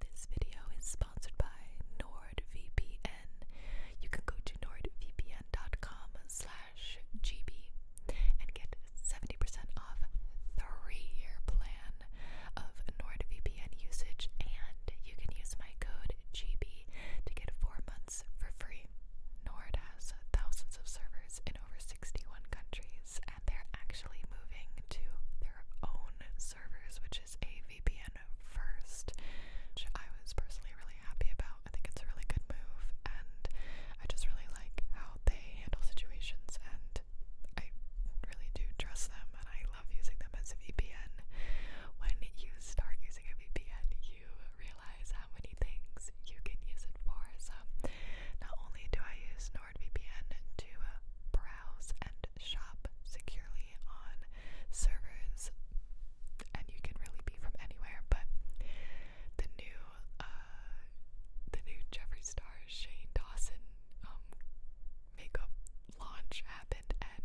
This video is sponsored by NordVPN. You can go to nordvpn.com slash gb and get 70% off three-year plan of NordVPN usage and you can use my code GB to get four months for free. Nord has thousands of servers in over 61 countries and they're actually moving to their own servers, which which is a VPN first, which I was personally really happy about. I think it's a really good move, and I just really like how they handle situations, and I really do trust them, and I love using them as a VPN. When you start using a VPN, you realize how many things you can use it for. So, not only do I use NordVPN to uh, browse and shop securely on servers, and you can really be from anywhere. But the new, uh, the new Jeffree Star Shane Dawson um, makeup launch happened, and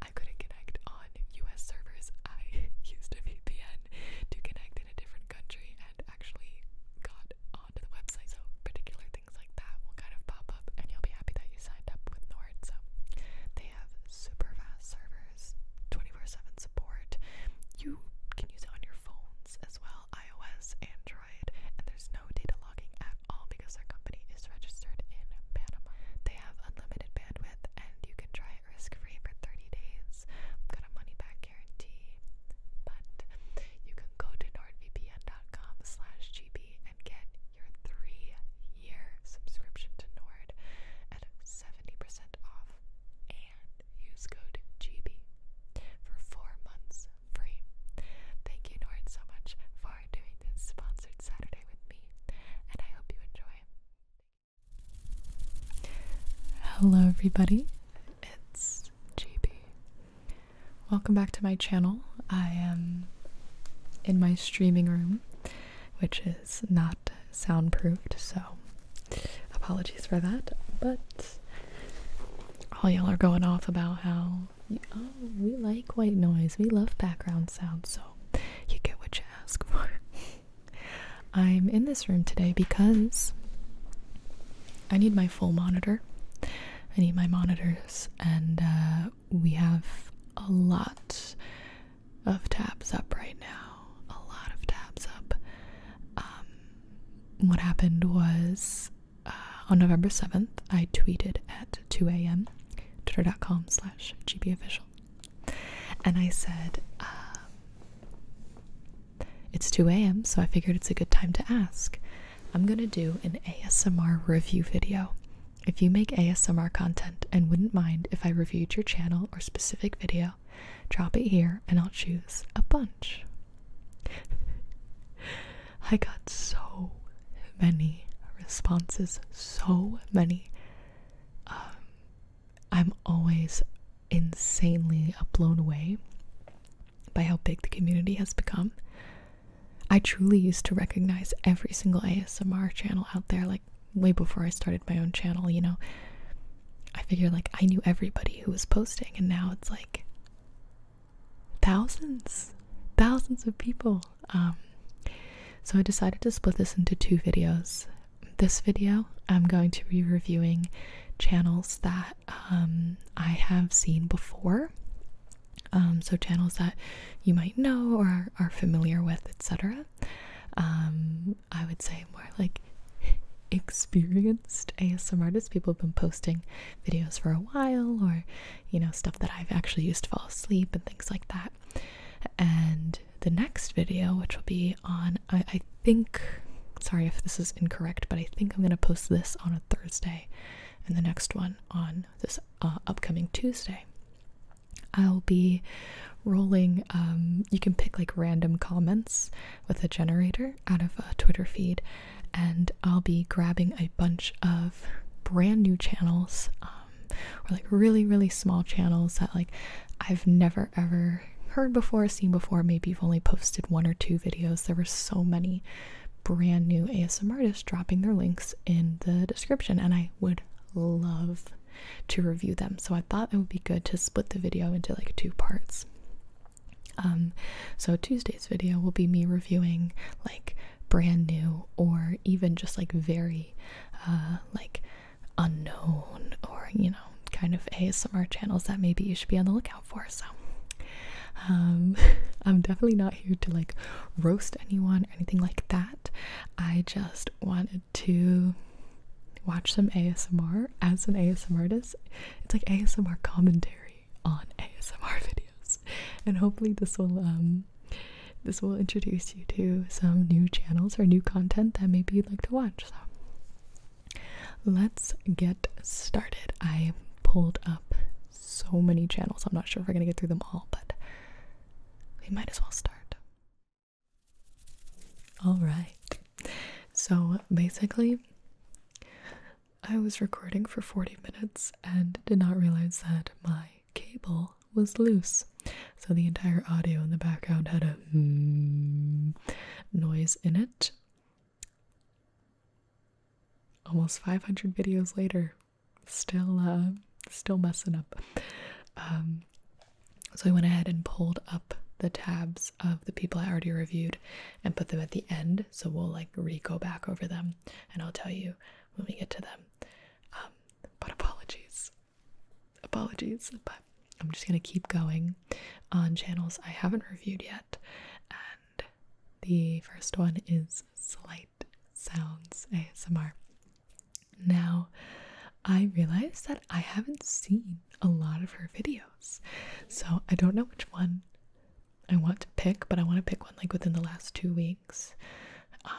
I couldn't connect on U.S. servers. I used a VPN to connect in a different country, and actually got onto the website. So particular things like videos like that will kind of pop up and you'll be happy that you signed up with Nord. So they have super fast servers, 24-7 support. You can use it on your phones as well, iOS, Android, and there's no data logging at all because their company is registered in Panama. They have unlimited bandwidth and you can try it risk-free for 30 days. I've got a money-back guarantee. But you can go to nordvpn.com slash gp and get your three-year subscription to Nord at 70% off and use code GB for four months free. Thank you, Nord, so much for doing this sponsored Saturday with me, and I hope you enjoy. Hello, everybody. It's GB. Welcome back to my channel. I am in my streaming room, which is not soundproofed, so apologies for that. But all y'all are going off about how, oh, we like white noise, we love background sound, so you get what you ask for. I'm in this room today because I need my full monitor. I need my monitors, and uh, we have a lot of tabs up right now. A lot of tabs up. Um, what happened was uh, on November 7th, I tweeted at 2 a.m. twitter.com slash gbofficial. And I said, uh, it's 2 a.m., so I figured it's a good time to ask. I'm going to do an ASMR review video if you make ASMR content and wouldn't mind if I reviewed your channel or specific video, drop it here and I'll choose a bunch. I got so many responses, so many. Um, I'm always insanely blown away by how big the community has become. I truly used to recognize every single ASMR channel out there, like way before I started my own channel, you know. I figured like I knew everybody who was posting, and now it's like thousands, thousands of people. Um, so I decided to split this into two videos. This video, I'm going to be reviewing channels that um, I have seen before um, so channels that you might know or are, familiar with, etc. Um, I would say more like experienced ASM artists. People have been posting videos for a while, or you know stuff that I've actually used to fall asleep and things like that. And the next video, which will be on, I, think. Sorry if this is incorrect, but I think I'm going to post this on a Thursday and the next one on this. Uh, upcoming Tuesday. I'll be rolling, um, you can pick like random comments with a generator out of a Twitter feed, and I'll be grabbing a bunch of brand new channels, um, or like really, really small channels that like I've never ever heard before, seen before. Maybe you've only posted one or two videos. There were so many brand new ASM artists dropping their links in the description, and I would love to review them. So I thought it would be good to split the video into like two parts. Um, so Tuesday's video will be me reviewing like brand new or even just like very uh, like unknown or you know kind of ASMR channels that maybe you should be on the lookout for. So um, I'm definitely not here to like roast anyone or anything like that. I just wanted to watch some ASMR as an ASMR artist. It's like ASMR commentary on ASMR videos. And hopefully this will um this will introduce you to some new channels or new content that maybe you'd like to watch. So let's get started. I pulled up so many channels. I'm not sure if we're gonna get through them all, but we might as well start. All right. So basically, I was recording for 40 minutes and did not realize that my cable was loose. So the entire audio in the background had a mm, noise in it. Almost 500 videos later, still uh still messing up um so i went ahead and pulled up the tabs of the people i already reviewed and put them at the end so we'll like re-go back over them and i'll tell you when we get to them um but apologies apologies but i'm just gonna keep going on channels i haven't reviewed yet and the first one is slight sounds asmr now, I realize that I haven't seen a lot of her videos, so I don't know which one I want to pick, but I want to pick one like within the last two weeks. Um,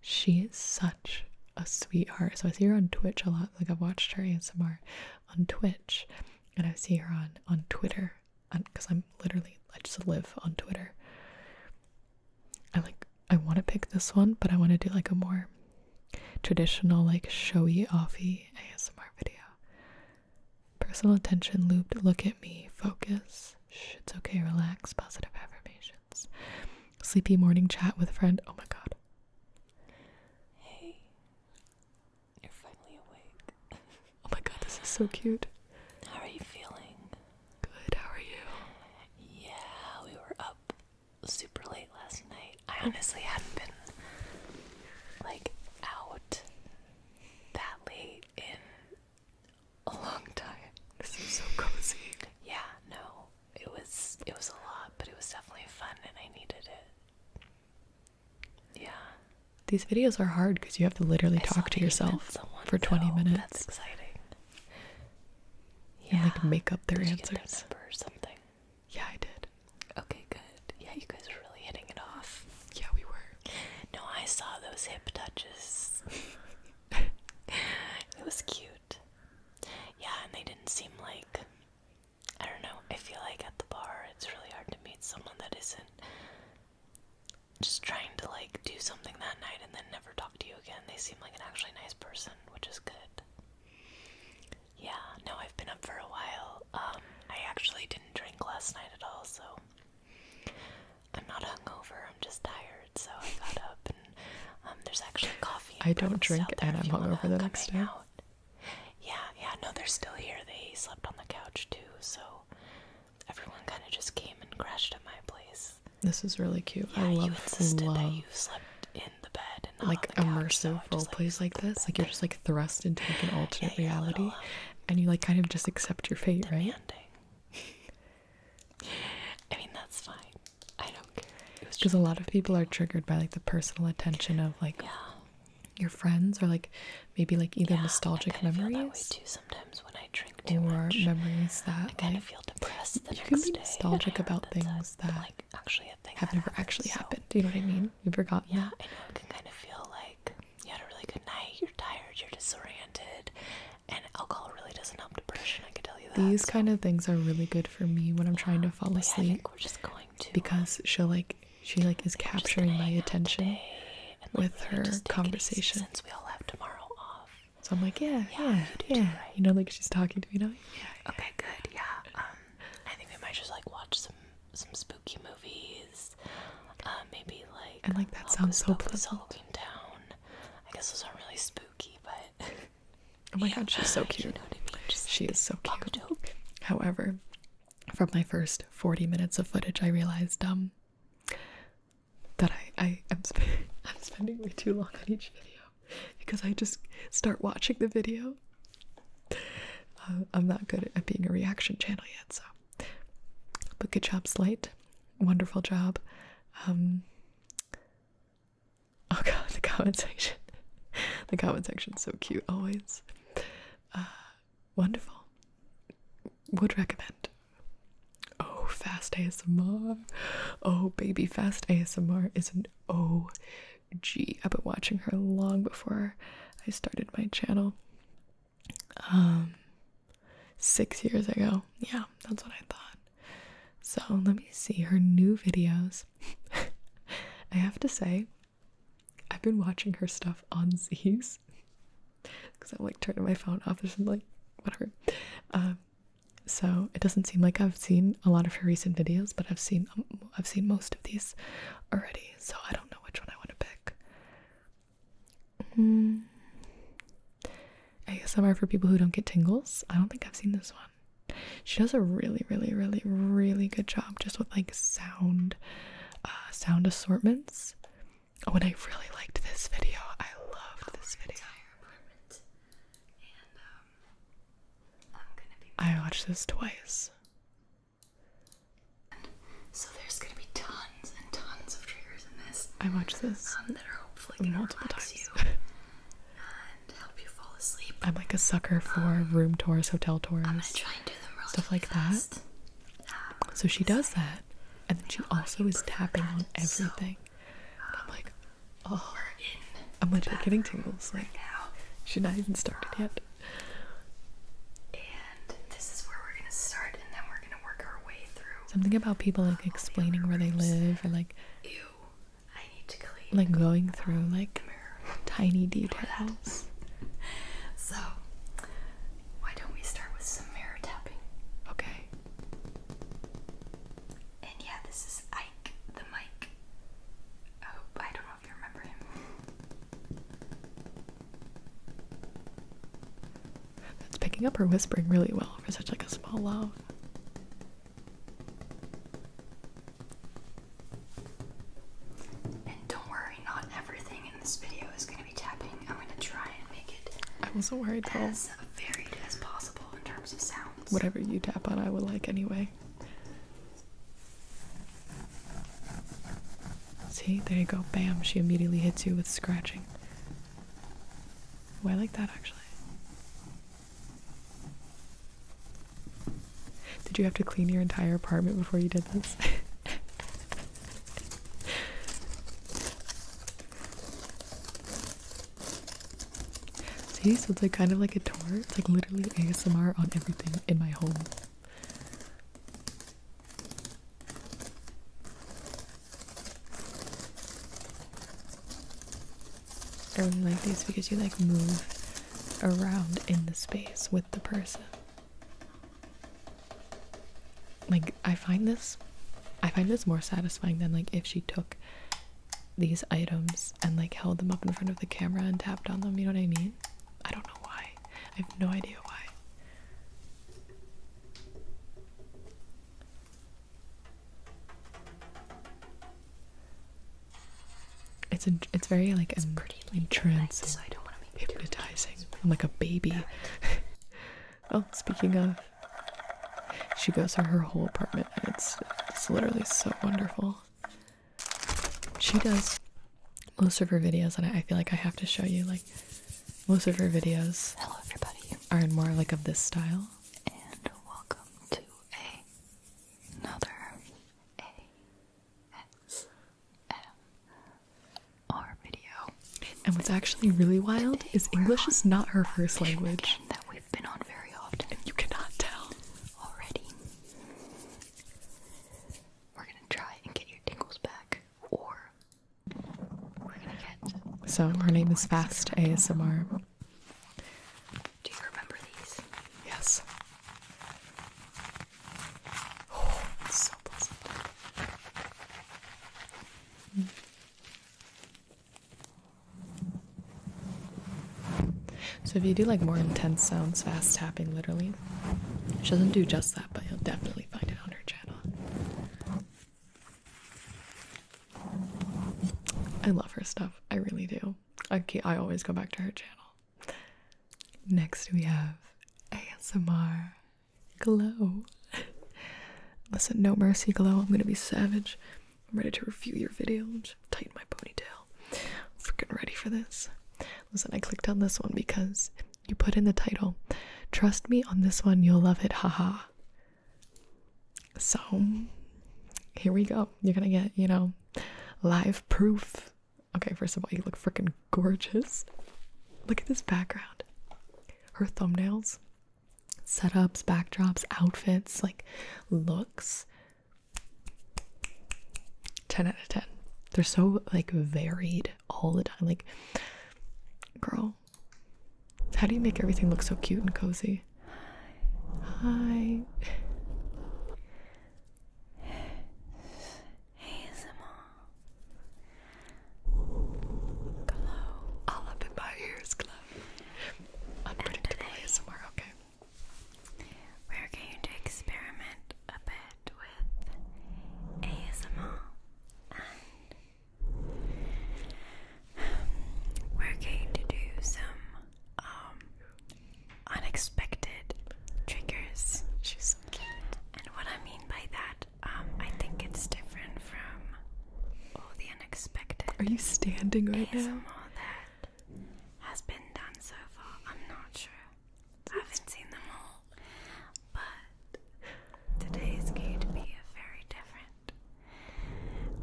she is such a sweetheart. So I see her on Twitch a lot. Like I've watched her ASMR on Twitch, and I see her on on Twitter because I'm, literally I just live on Twitter. I like I want to pick this one, but I want to do like a more traditional, like showy offy ASMR video. Personal attention looped. Look at me. Focus. it's okay. Relax. Positive affirmations. Sleepy morning chat with a friend. Oh my god. Hey, you're finally awake. Oh my god, this is so cute. How are you feeling? Good, how are you? Yeah, we were up super late last night. I honestly hadn't been like out that late in a long time. This is so cozy. Yeah, no. It was it was a lot, but it was definitely fun and I needed it. Yeah. These videos are hard because you have to literally talk to yourself for 20 minutes. That's exciting. Yeah. And make up their answers. or something? Yeah, I did. Okay, good. Yeah, you guys were really hitting it off. Yeah, we were. No, I saw those hip touches. it was cute. Yeah, and they didn't seem like I don't know. I feel like at the bar it's really hard to meet someone that isn't just trying to like do something that night and then never talk to you again. They seem like an actually nice person, which is good. Yeah, no, I've been up for a while. Um, I actually didn't drink last night at all, so I'm not hungover. I'm just tired, so I got up and um, there's actually coffee. I don't drink and I'm hungover the next day. Yeah, yeah, no, they're still here. They slept on the couch too, so everyone kind of just came and crashed at my place. This is really cute. Yeah, you insisted that you slept in the bed and like immersive so like, this. Like you're just like thrust into like an alternate reality, and you like kind of just accept your fate, demanding. right? I mean that's fine. I don't care. Because a lot of people are triggered by like the personal attention of like your friends or like maybe like either nostalgic memories sometimes when I drink too much, I kind of feel depressed the you next can be nostalgic about things that have never actually happened. Do you know what I mean? You forgot. Yeah, I know. It can kind of feel like you had a really good night. You're tired. You're disoriented, and alcohol really doesn't help depression. I can tell you that. These kind of things are really good for me when I'm trying to fall asleep. Yeah, we're just going to because she'll like she like is capturing my attention and, like, with really her conversation. Since we all have tomorrow off. So I'm like, yeah, yeah, You, know, like she's talking to me now. Yeah. Okay, good. Yeah. Um, I think we might just like watch some some spooky movies. Uh, maybe like. And like that sounds so pleasant. Town. I guess those aren't really spooky, but. oh my god, she's so cute. You know what I mean? she is so cute. However, from my first 40 minutes of footage, I realized um, that I, I am sp I'm spending way too long on each video because I just start watching the video. Uh, I'm not good at being a reaction channel yet, so. But good job, Slate. Wonderful job. Um, oh god, the comment section. the comment section's so cute always. Uh, wonderful. Would recommend. Oh, fast ASMR. Oh, baby, fast ASMR is an OG. I've been watching her long before I started my channel. Um, six years ago. Yeah, that's what I thought. So let me see her new videos. I have to say, I've been watching her stuff on Z's because I'm like turning my phone off. or something, like whatever. Um, so it doesn't seem like I've seen a lot of her recent videos, but I've seen um, I've seen most of these already. So I don't know which one I want to pick. Hmm. I guess some are for people who don't get tingles. I don't think I've seen this one. She does a really, really, really, really good job just with like sound, uh, sound assortments. Oh, and I really liked this video. I loved this video. Um, i watched this twice. so there's gonna be tons and tons of triggers in this. I watched this Some um, that are hopefully multiple times. and help you fall asleep. I'm like a sucker for um, room tours, hotel tours, stuff like that. so she does that, and then she also is tapping on everything. I'm like, oh, I'm like, legit getting tingles like, now. She not even started um, yet. And this is where we're gonna start, and then we're gonna work our way through. Something about people like explaining where they live, or like, ew, I need to clean. Like going through like tiny details. so, why don't we start with some mirror tapping? Okay. And yeah, this is Ike the Mike. I I don't know if you remember him. It's picking up her whispering really well for such like a small love. And don't worry, not everything in this video is going to be tapping. I'm gonna try and make it. worried As varied as possible in terms of sounds. Whatever you tap on, I would like anyway. See, there you go. Bam! She immediately hits you with scratching. Oh, I like that actually. Did you have to clean your entire apartment before you did this? See, so it's like kind of like a tour. It's like literally ASMR on everything in my home. I really like these because you like move around in the space with the person like I find this I find this more satisfying than like if she took these items and like held them up in front of the camera and tapped on them, you know what I mean? I don't know why. I have no idea why. It's a, it's very like it's pretty entrancing, so hypnotizing. I'm like a baby. oh, speaking of she goes through her whole apartment and it's it's literally so wonderful. She does most of her videos and I feel like I have to show you like most of her videos Hello everybody are in more like of this style. And welcome to a another A S M R video. And what's actually really wild is English is not her first language. That we've been on very often. And you cannot tell already. We're gonna try and get your tingles back, or we're gonna get. So her name is Fast ASMR. Do you remember these? Yes. Oh, so pleasant. So if you do like more intense sounds, fast tapping literally, she doesn't do just that, but you'll definitely find it on her channel. I love her stuff. I really do. I, keep, I always go back to her channel. Next we have ASMR Glow. Listen, no mercy, Glow. I'm gonna be savage. I'm ready to review your video. tighten my ponytail. I'm freaking ready for this. Listen, I clicked on this one because you put in the title. Trust me on this one, you'll love it. Haha. So, here we go. You're gonna get, you know, live proof. Okay, first of all, you look freaking gorgeous. Look at this background. Her thumbnails setups, backdrops, outfits, like looks. 10 out of 10. They're so like varied all the time. Like, girl, how do you make everything look so cute and cozy? Hi. ASMR. Glow. All up in my ears, glow. We're going to experiment a bit with ASMR and we're going to do some um, unexpected triggers. She's cute. And what I mean by that, um, I think it's different from all the are you standing right ASMR now? that has been done so far. I'm not sure. I haven't seen them all, but today going to be very different.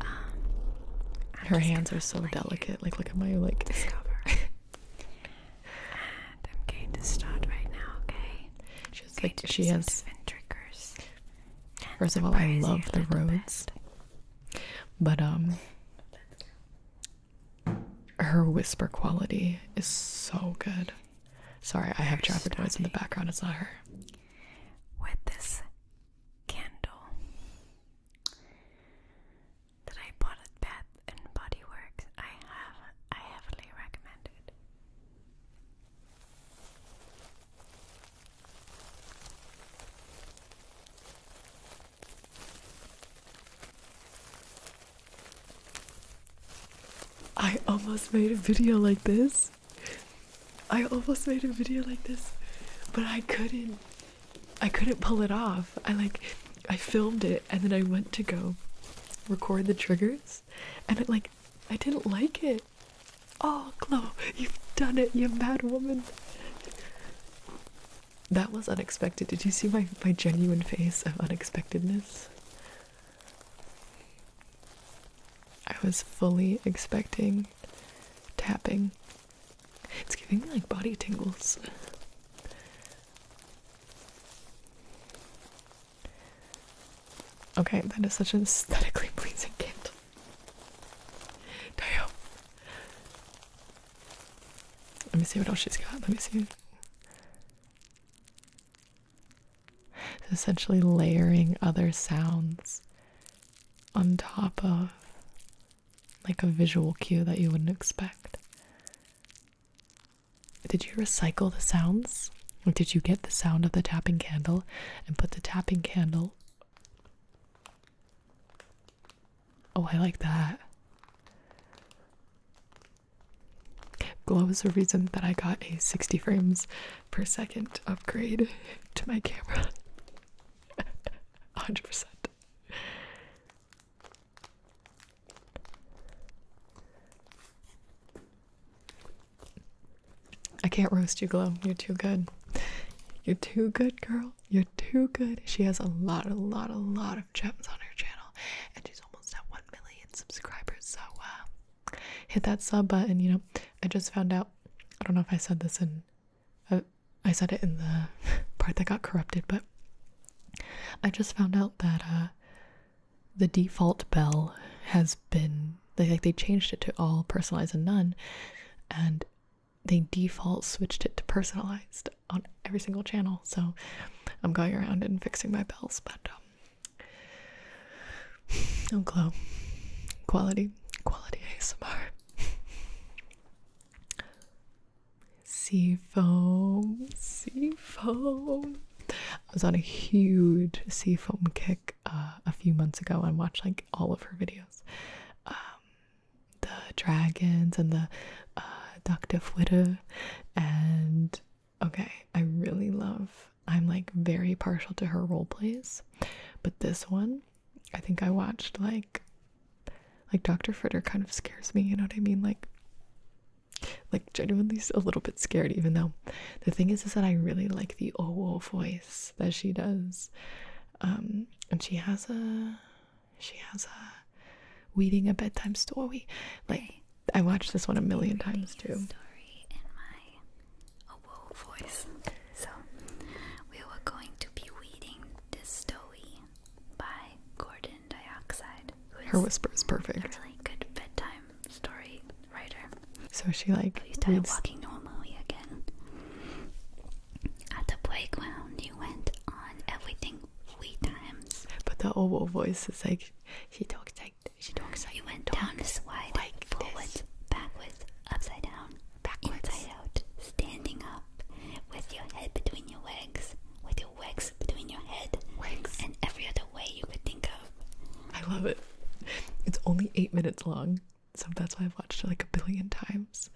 Um, Her hands are so delicate. Like, look at my like. and I'm going to start right now. Okay. She's like she has different First of all, I love the roads. But um her whisper quality is so good. Sorry, I have traffic noise in the background, it's not her. With this candle that I bought at Bath and Body Works, I have I heavily recommend it. I almost made a video like this. I almost made a video like this, but I couldn't. I couldn't pull it off. I like I filmed it and then I went to go record the triggers and it like I didn't like it. Oh, Clo! you've done it, you mad woman. That was unexpected. Did you see my, my genuine face of unexpectedness? I was fully expecting tapping. It's giving me like body tingles. Okay, that is such an aesthetically pleasing candle. Damn. Let me see what else she's got. Let me see. essentially layering other sounds on top of like a visual cue that you wouldn't expect. Did you recycle the sounds? Or did you get the sound of the tapping candle and put the tapping candle Oh, I like that. Glow is the reason that I got a 60 frames per second upgrade to my camera. 100%. I can't roast you, Glow. You're too good. You're too good, girl. You're too good. She has a lot, a lot, a lot of gems on her channel, and she's almost at 1 million subscribers. So, uh, hit that sub button. You know, I just found out. I don't know if I said this in, uh, I said it in the part that got corrupted, but I just found out that uh, the default bell has been they, they changed it to all personalized and none, and they default switched it to personalized on every single channel. So I'm going around and fixing my bells, but um, oh, glow, quality, quality ASMR. Sea foam, sea foam. I was on a huge sea foam kick uh, a few months ago and watched like all of her videos. Um, the dragons and the uh, Dr. Fritter. and okay, I really love. I'm like very partial to her role plays, but this one, I think I watched like like Dr. Fritter kind of scares me, you know what I mean? Like like genuinely a little bit scared even though the thing is is that I really like the oh, oh voice that she does. Um, and she has a she has a reading a bedtime story. Like I watched this one a million times too. Story in my a woe voice. So we were going to be reading this story by Gordon Dioxide. Who is Her whisper is perfect. A good bedtime story writer. So she like. So you started reads... walking normally again. At the playground, you went on everything three times. But the overall voice is like she talks like she talks like you went talks down the slide, like forwards, this. backwards, upside down, backwards, inside out, standing up, with your head between your legs, with your legs between your head, legs. and every other way you could think of. I love it. It's only eight minutes long so that's why I've watched it like a billion times.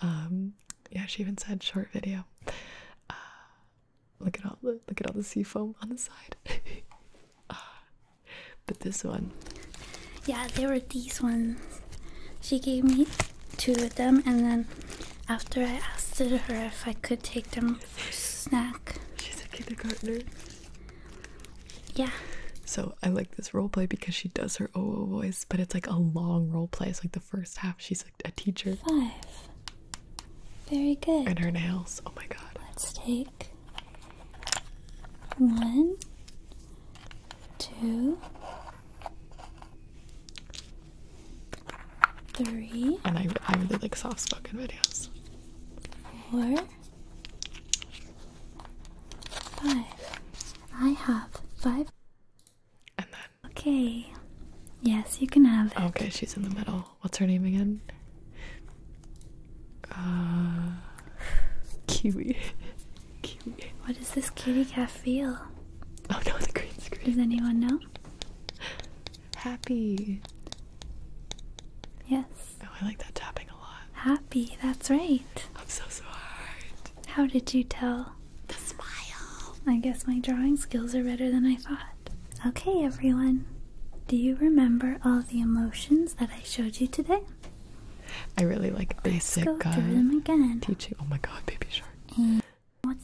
Um, yeah, she even said short video. Uh, look at all the look at all the sea foam on the side. Uh, but this one, yeah, there were these ones. She gave me two of them, and then after I asked her if I could take them for snack, she's a kindergartner. Yeah. So I like this role play because she does her OO voice, but it's like a long role play. It's like the first half she's like a teacher. Five. Very good. And her nails. Oh my god. Let's take one, two, three. And I, I really like soft spoken videos. Four, five. I have five. And then. Okay. Yes, you can have it. Okay, she's in the middle. What's her name again? Uh, kiwi. kiwi. What does this kitty cat feel? Oh no, the green screen. Does anyone know? Happy. Yes. Oh, I like that tapping Happy, that's right. I'm so smart. How did you tell? The smile. I guess my drawing skills are better than I thought. Okay, everyone. Do you remember all the emotions that I showed you today? I really like basic Let's go uh, through them again. teaching. Oh my god, baby shark. And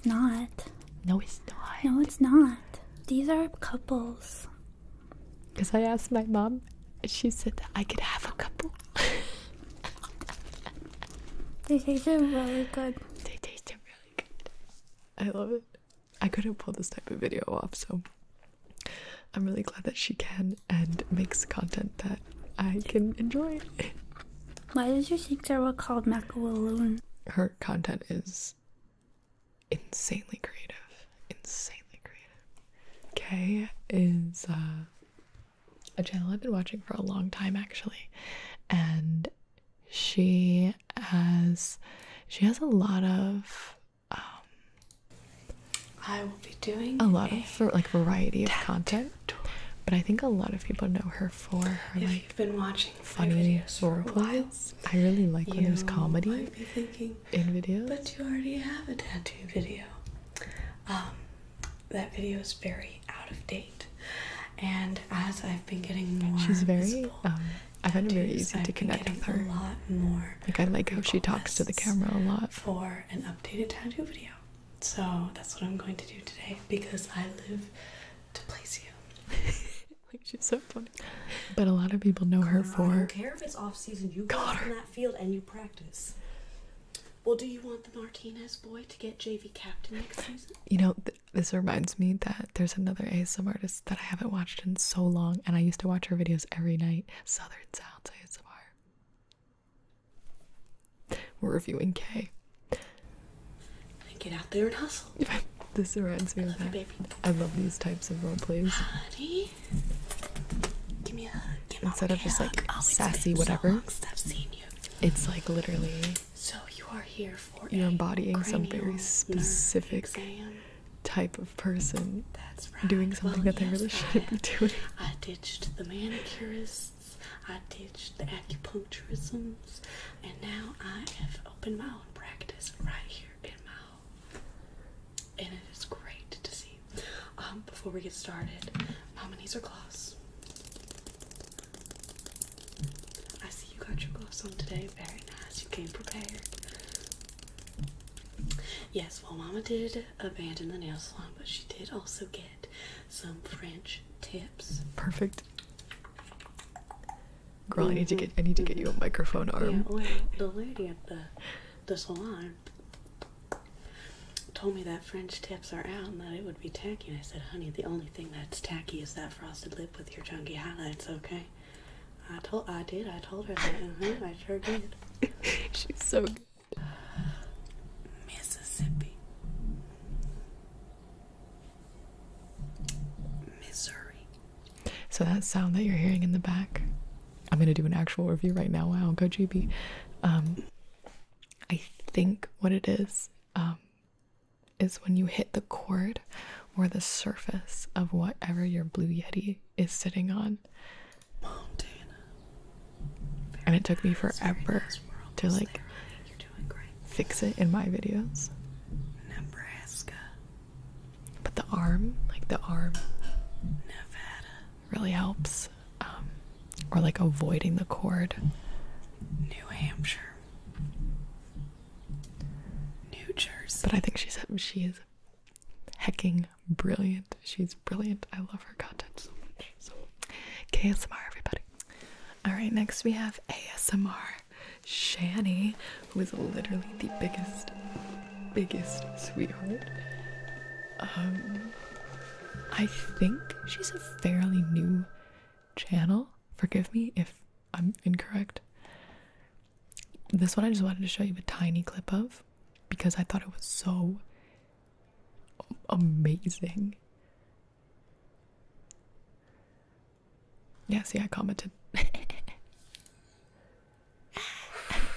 not. No, it's not. No, it's not. These are couples. Because I asked my mom she said that I could have a couple. they taste really good. They taste really good. I love it. I couldn't pull this type of video off, so I'm really glad that she can and makes content that I can enjoy. Why does your sister were called Macaroon? Her content is insanely creative. Insanely creative. Kay is uh a channel I've been watching for a long time actually, and she has she has a lot of um, I will be doing a lot a of like variety of content. But I think a lot of people know her for her like been watching funny or replies. I really like when there's comedy might be thinking, in videos. But you already have a tattoo video. Um, that video is very out of date. And as I've been getting more, she's very. Um, I find it very easy to connect with her. A lot more. Like I like how she talks to the camera a lot. For an updated tattoo video, so that's what I'm going to do today because I live to please you. like she's so funny. But a lot of people know her for. care if it's off season. You go in that field and you practice. Well, do you want the Martinez boy to get JV captain next season? You know, this reminds me that there's another ASM artist that I haven't watched in so long, and I used to watch her videos every night. Southern Sounds ASMR. We're reviewing K. Get out there and hustle. this reminds me of that. I love these types of role plays. Honey, give me a hug instead of just like sassy whatever. It's like literally. So you are here for. You're embodying some very specific type of person. Doing something that they really shouldn't be doing. I ditched the manicurists. I ditched the acupuncturisms, and now I have opened my own practice right here in my home, and it is great to see um, before we get started, Mama needs her gloves. I see you got your gloves on today. Very nice. You came prepared. Yes, well, Mama did abandon the nail salon, but she did also get some French tips. Perfect. Girl, I need to get I need to get mm-hmm. you a microphone arm. Yeah, well, the lady at the the salon told me that French tips are out and that it would be tacky. And I said, honey, the only thing that's tacky is that frosted lip with your chunky highlights, okay? I told, I did. I told her that. I sure did. She's so good. Mississippi, Missouri. So that sound that you're hearing in the back, I'm gonna do an actual review right now. Wow, go GB. I think what it is um, is when you hit the cord or the surface of whatever your blue yeti is sitting on. Montana. and it took me forever to like fix it in my videos. Nebraska. But the arm, like the arm. Nevada really helps. Um, or like avoiding the cord. New Hampshire. New Jersey. But I think she said she is hecking brilliant. She's brilliant. I love her content so much. So KSMR everybody. Alright, next we have ASMR Shanny, who is literally the biggest, biggest sweetheart. Um I think she's a fairly new channel. Forgive me if I'm incorrect. This one I just wanted to show you a tiny clip of because I thought it was so amazing. Yeah, see, I commented.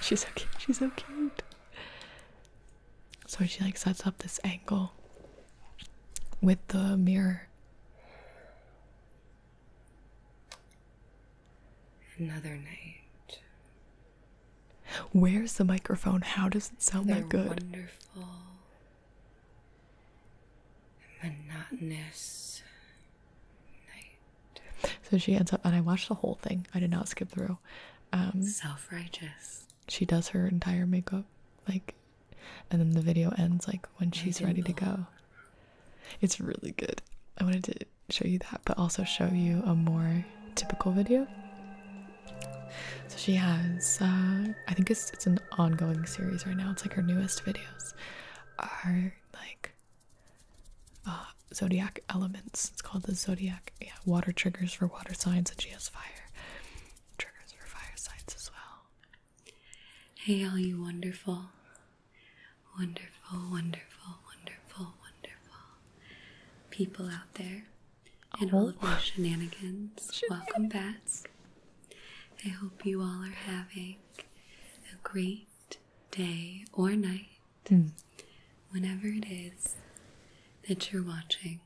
she's okay. She's okay. So she like sets up this angle with the mirror. Another night. Where's the microphone? How does it sound they that good? monotonous night. So she ends up, and I watched the whole thing. I did not skip through. Um, Self righteous she does her entire makeup like and then the video ends like when she's ready to go it's really good i wanted to show you that but also show you a more typical video so she has uh i think it's it's an ongoing series right now it's like her newest videos are like uh zodiac elements it's called the zodiac yeah water triggers for water signs and she has fire triggers for firesides as well. Hey, all you wonderful, wonderful, wonderful, wonderful, wonderful people out there, and all of your oh. shenanigans. Welcome bats. I hope you all are having a great day or night, hmm. whenever it is that you're watching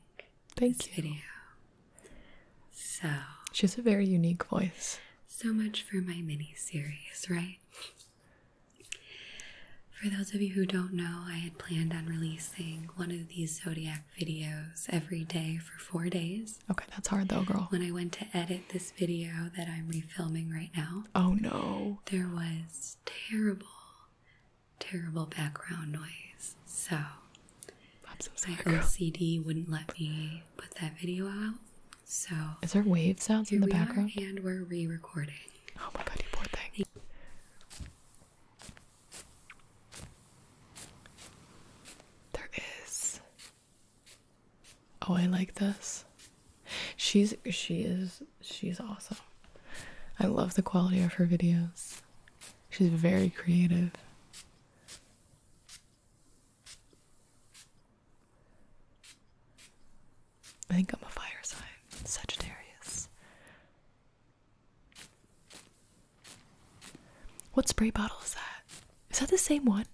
Thank you. Video. So she has a very unique voice. So much for my mini series, right? For those of you who don't know, I had planned on releasing one of these zodiac videos every day for four days. Okay, that's hard though, girl. When I went to edit this video that I'm refilming right now, oh no, there was terrible terrible background noise. So, so my LCD wouldn't let me put that video out. So, is there wave sounds in the background? and we're re recording. Oh my god, you poor thing. Thank there is. Oh, I like this. She's she is she's awesome. I love the quality of her videos. She's very creative. I think I'm a fire sign, Sagittarius. What spray bottle is that? Is that the same one?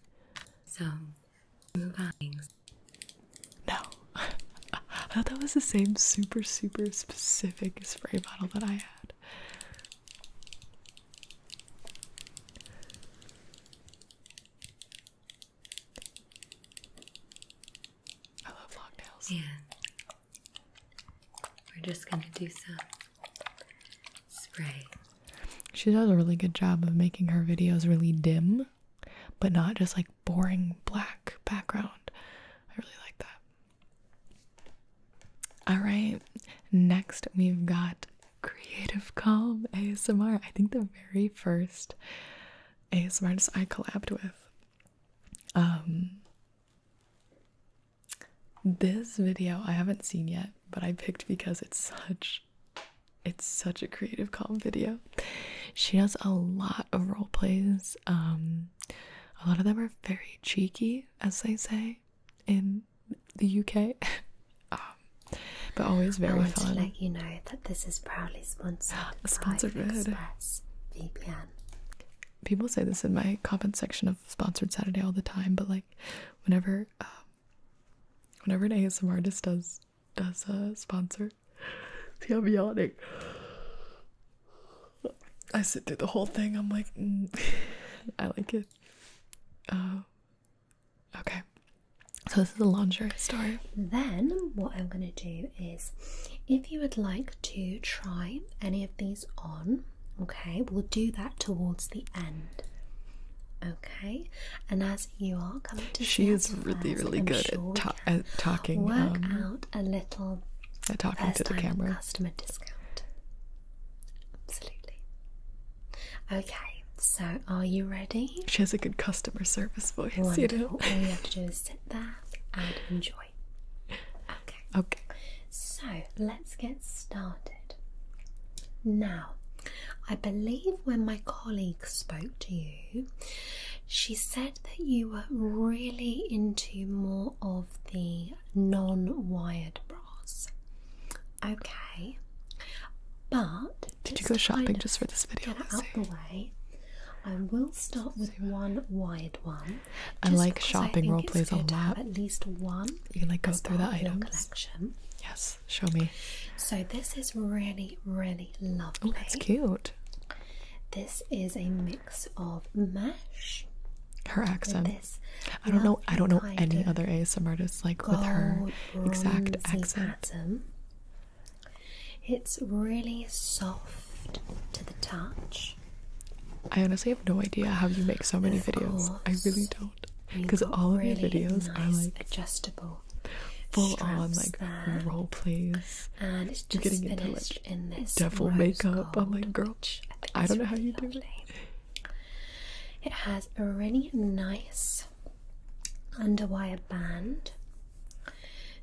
So, move on. No. I thought that was the same super, super specific spray bottle that I had. I love long nails. Yeah. We're just gonna do some spray. She does a really good job of making her videos really dim, but not just like boring black background. I really like that. All right, next we've got Creative Calm ASMR. I think the very first ASMRs I collabed with. Um, this video I haven't seen yet, but I picked because it's such it's such a creative calm video. She does a lot of role plays. Um, a lot of them are very cheeky as they say in the UK. Um, but always very I want fun. To let you know that this is proudly sponsored. sponsored by Express People say this in my comment section of sponsored Saturday all the time, but like, whenever, um, whenever an ASMR artist does does a sponsor, see, I'm I sit through the whole thing. I'm like, mm, I like it. Oh, okay. So this is a lingerie story. Then what I'm going to do is, if you would like to try any of these on, okay, we'll do that towards the end. Okay, and as you are coming to, she is really, really good at, talking a little They're talking to the camera customer discount. Absolutely. Okay, so are you ready? She has a good customer service voice. You know, all you have to do is sit there and enjoy. Okay. Okay. So let's get started. Now, I believe when my colleague spoke to you, she said that you were really into more of the non wired bras. Okay, but did you go shopping just for this video? out the way. I will start with one wired one. I like shopping role plays a lot. At least one. You can like go through the item. Collection. Yes, show me. So this is really, really lovely. Oh, that's cute. This is a mix of mesh her accent. I don't know. I don't know any other ASMR artists like with her exact accent. It's really soft to the touch. I honestly have no idea how you make so many videos. I really don't, because all of really your videos are like adjustable, full on like role plays. And it's just getting into like in this devil makeup. Gold. I'm like, girl, I, don't know how you do it. It has a really nice underwire band,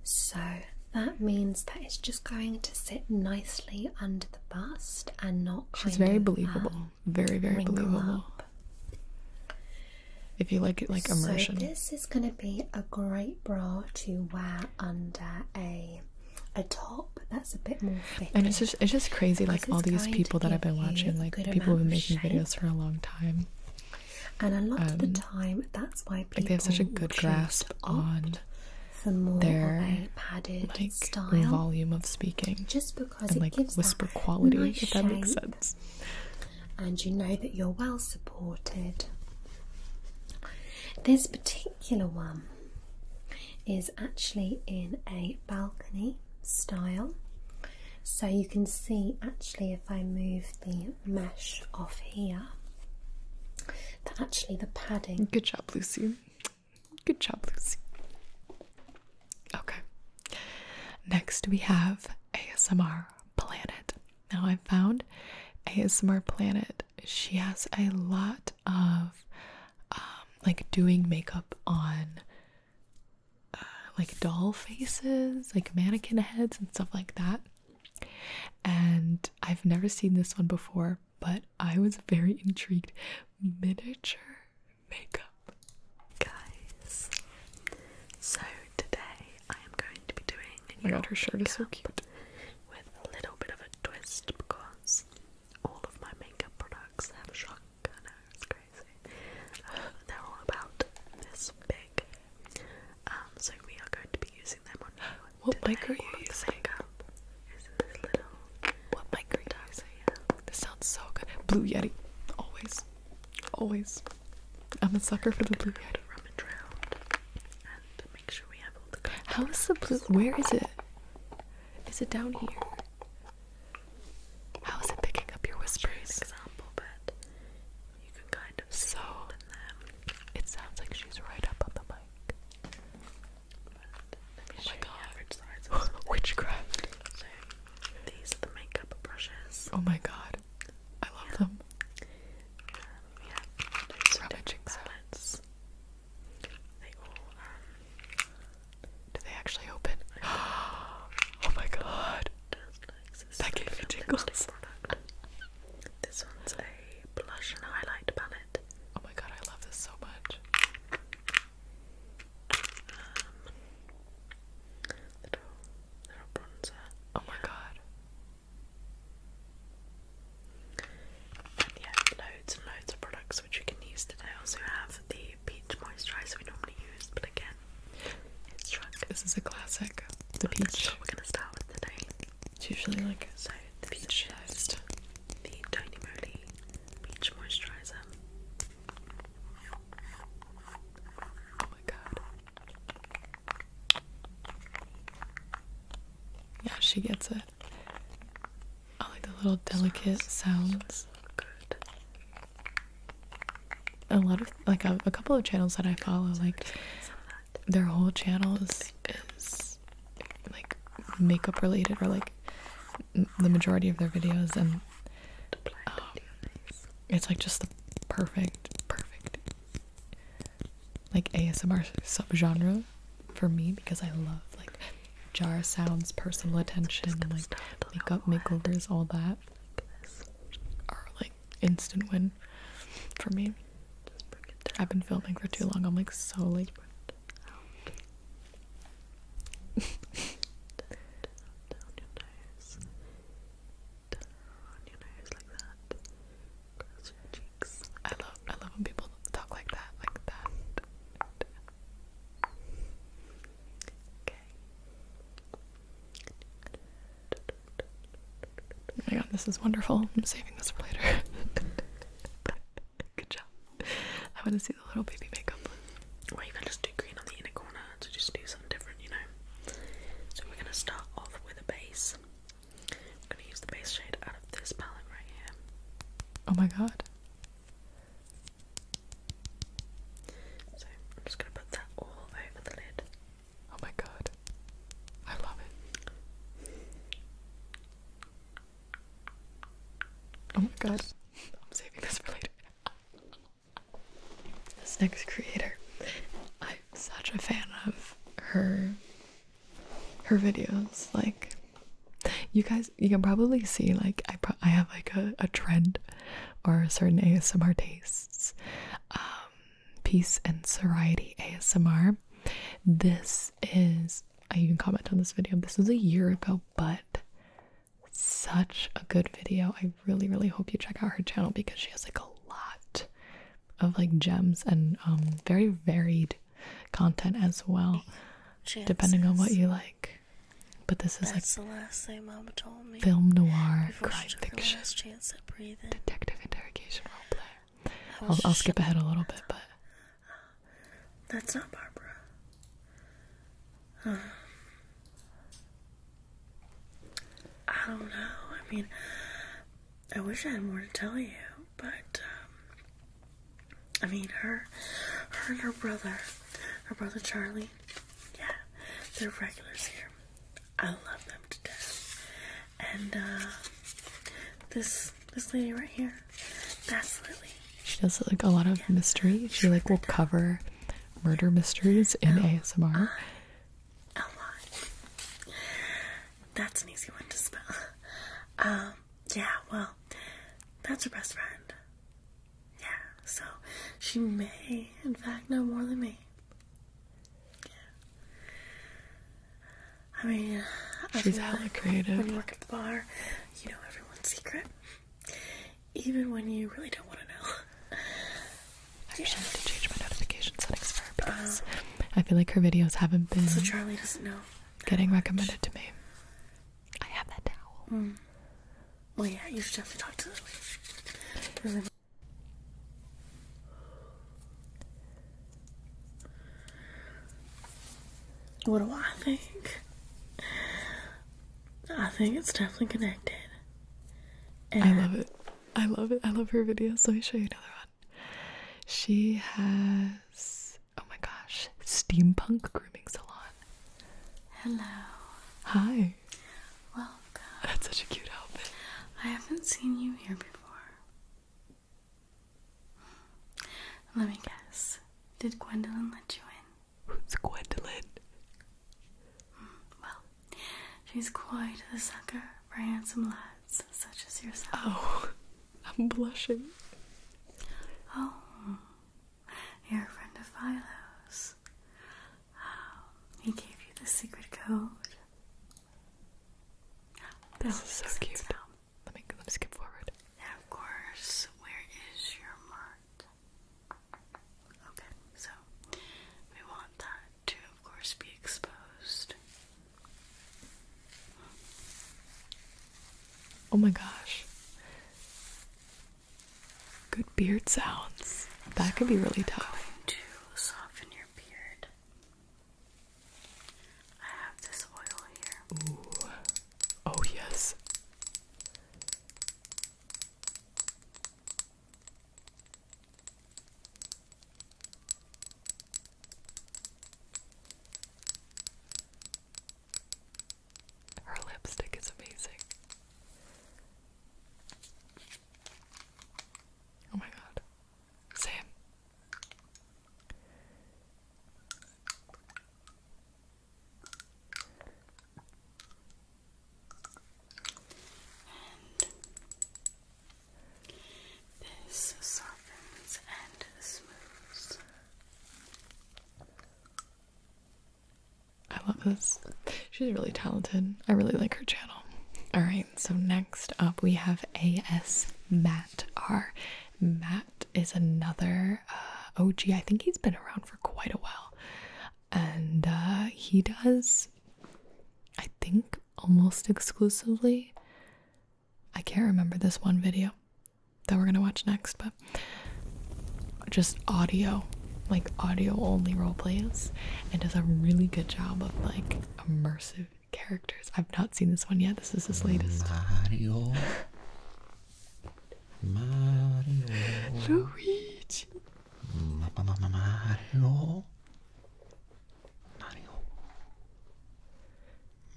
so that means that it's just going to sit nicely under the bust and not. She's very uh, believable. very very believable. If you like it, like immersion. So this is going to be a great bra to wear under a a top that's a bit more and it's just it's just crazy like all these people that I've been watching like people who have been making videos for a long time and a lot of the um, time that's why people they have such a good grasp on for more their of a padded like style. volume of speaking just because and, like, it gives whisper quality if that makes sense and you know that you're well supported this particular one is actually in a balcony style. So you can see actually if I move the mesh off here that actually the padding Good job, Lucy. Good job, Lucy. Okay. Next we have ASMR Planet. Now I found ASMR Planet. She has a lot of um, like doing makeup on uh, like doll faces, like mannequin heads and stuff like that. And I've never seen this one before, but I was very intrigued. Miniature makeup, guys. So today I am going to be doing. Oh my god, her shirt so cute. With a little bit of a twist because all of my makeup products have shock. I know it's crazy. Uh, they're all about this big. Um, so we are going to be using them on What today. mic are you all using? Makeup is little. What mic are you dark, using? This sounds so good. Blue Yeti, always, always. I'm a sucker for the Blue Yeti. How is the blue? Where is it? Is it down here? How is it picking up your whispers? Example, but you can kind of so It sounds like she's right up on the mic. oh my God. Witchcraft. these are the makeup brushes. Oh my God, I love them. yeah, those are um, do they actually open? oh my god! That gave me jingles. This one's a blush and highlight palette. Oh my god, I love this so much. Um, little, bronzer. Oh my god. yeah, loads and loads of products which you can use today. I also have the peach moisturizer we normally use, but again, it's drunk. This is a classic. The peach. That's we're gonna start with the day. It's usually like so peach sized. The Tony Moly peach moisturizer. Oh my god. Yeah, she gets it. I like the little delicate sounds. Good. A lot of like a, couple of channels that I follow, like their whole channel is like makeup related or like the majority of their videos, and um, it's like just the perfect, perfect like ASMR subgenre for me because I love like jar sounds, personal attention, like makeup makeovers, all that are like instant win for me. I've been filming for too long. I'm like so late. I love I love when people talk like that, like that. Oh my god, this is wonderful. I'm saving this for later. Good job. I want to see the little baby makeup. Or even just do green on the inner corner to just do something different, you know. So we're gonna start off with a base. I'm gonna use the base shade out of this palette right here. Oh my god. So I'm just going to put that all over the lid. Oh my god. I love it. Oh my god. I'm saving this for later. This next creator. I'm such a fan of her her videos. Like you guys, you can probably see like I I have like a, a trend or certain ASMR tastes. Um, peace and Variety ASMR. This is I even comment on this video. This was a year ago, but such a good video. I really, really hope you check out her channel because she has like a lot of like gems and um, very varied content as well. Depending on what you like. But this is like the last thing Mama told me. film noir, crime fiction, detective interrogation roleplay. Oh, I'll, skip ahead a little bit, but that's not Barbara. I don't know. I mean, I wish I had more to tell you, but um, I mean, her, her and her brother, her brother Charlie, yeah, they're regulars here. I love them to death. And uh, this this lady right here, that's Lily. She does like a lot of mystery. She like will cover murder mysteries in L ASMR. Uh, L Y. That's an easy one to spell. Um, yeah, well, that's her best friend. Yeah, so she may, in fact, know more than me. Yeah. I mean, I she's hella creative. When you work at the bar, you know everyone's secret, even when you really don't want to know. I should have to change my notification settings for her uh-huh. because I feel like her videos haven't been. So Charlie doesn't know. Getting recommended to me. I have that towel. Hmm. Well, yeah, you should definitely talk to the lady. What do I think? I think it's definitely connected. I love it. I love it. I love her videos. Let me show you another one. She has, oh my gosh, steampunk grooming salon. Hello. Hi. Welcome. That's such a cute outfit. I haven't seen you here before. Let me guess. Did Gwendolyn let you in? Who's Gwendolyn? Well, she's quite the sucker for handsome lads such as yourself. Oh, I'm blushing. Oh, you're a friend of Philo's. Um, he gave you the secret code. This is so cute. Let me let me skip forward. of course, where is your mart? Okay, so we want that to, of course, be exposed. Oh my gosh. Good beard sounds. That could be really tough. to soften your beard. I have this oil here. Ooh. Oh yes. Her lipstick is amazing. Oh my god. Same. And this softens and smooths. I love this. She's really talented. I really like her channel. All right, so next up we have AS Matt R. Matt is another uh, OG. I think he's been around for quite a while. And uh, he does, I think, almost exclusively. I can't remember this one video that we're gonna watch next, but just audio, like audio only role plays, and does a really good job of like immersive characters. I've not seen this one yet. This is his latest. Mario. Mario. Luigi. Mario.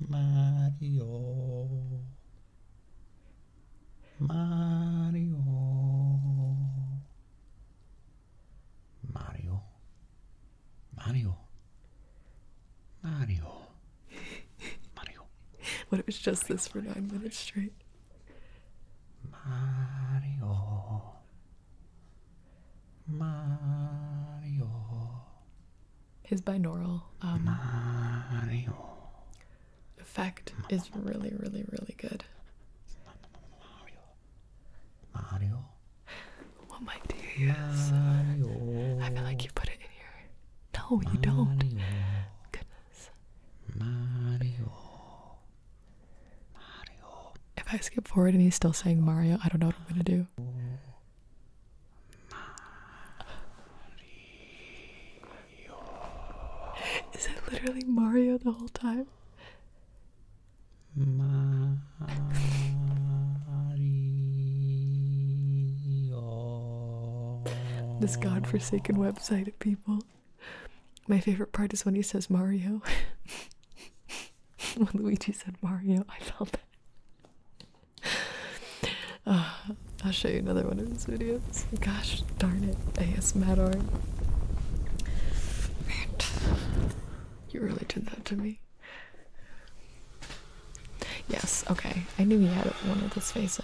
Mario. Mario Mario Mario Mario Mario What it was just this for nine minutes straight Mario Mario his binaural um, Mario effect is really, really, really good. Mario. Mario. What my dear is? Mario. I feel like you put it in here. No, you don't. Goodness. Mario. Mario. If I skip forward and he's still saying Mario, I don't know what I'm gonna do. Is it literally Mario the whole time? Mario. this godforsaken website of people. My favorite part is when he says Mario. when Luigi said Mario, I felt that. Uh, I'll show you another one of his videos. Gosh darn it, ASMR. Rant. You really did that to me. Yes, okay. I knew he had one of his face in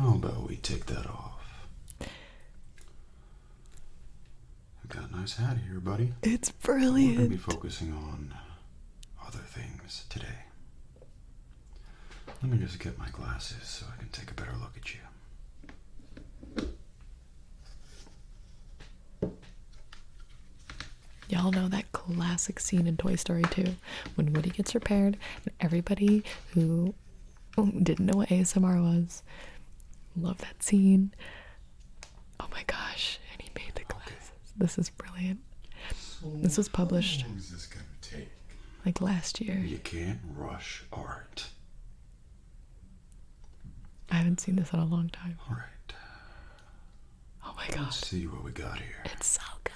How about we take that off? i got a nice hat here, buddy. It's brilliant. We're gonna be focusing on other things today. Let me just get my glasses so I can take a better look at you. Y'all know that classic scene in Toy Story 2 when Woody gets repaired and everybody who didn't know what ASMR was. Love that scene. Oh my gosh, and he made the glasses. This is brilliant. this was published like last year. You can't rush art. I haven't seen this in a long time. All right. Oh my god. see what we got here. It's so good.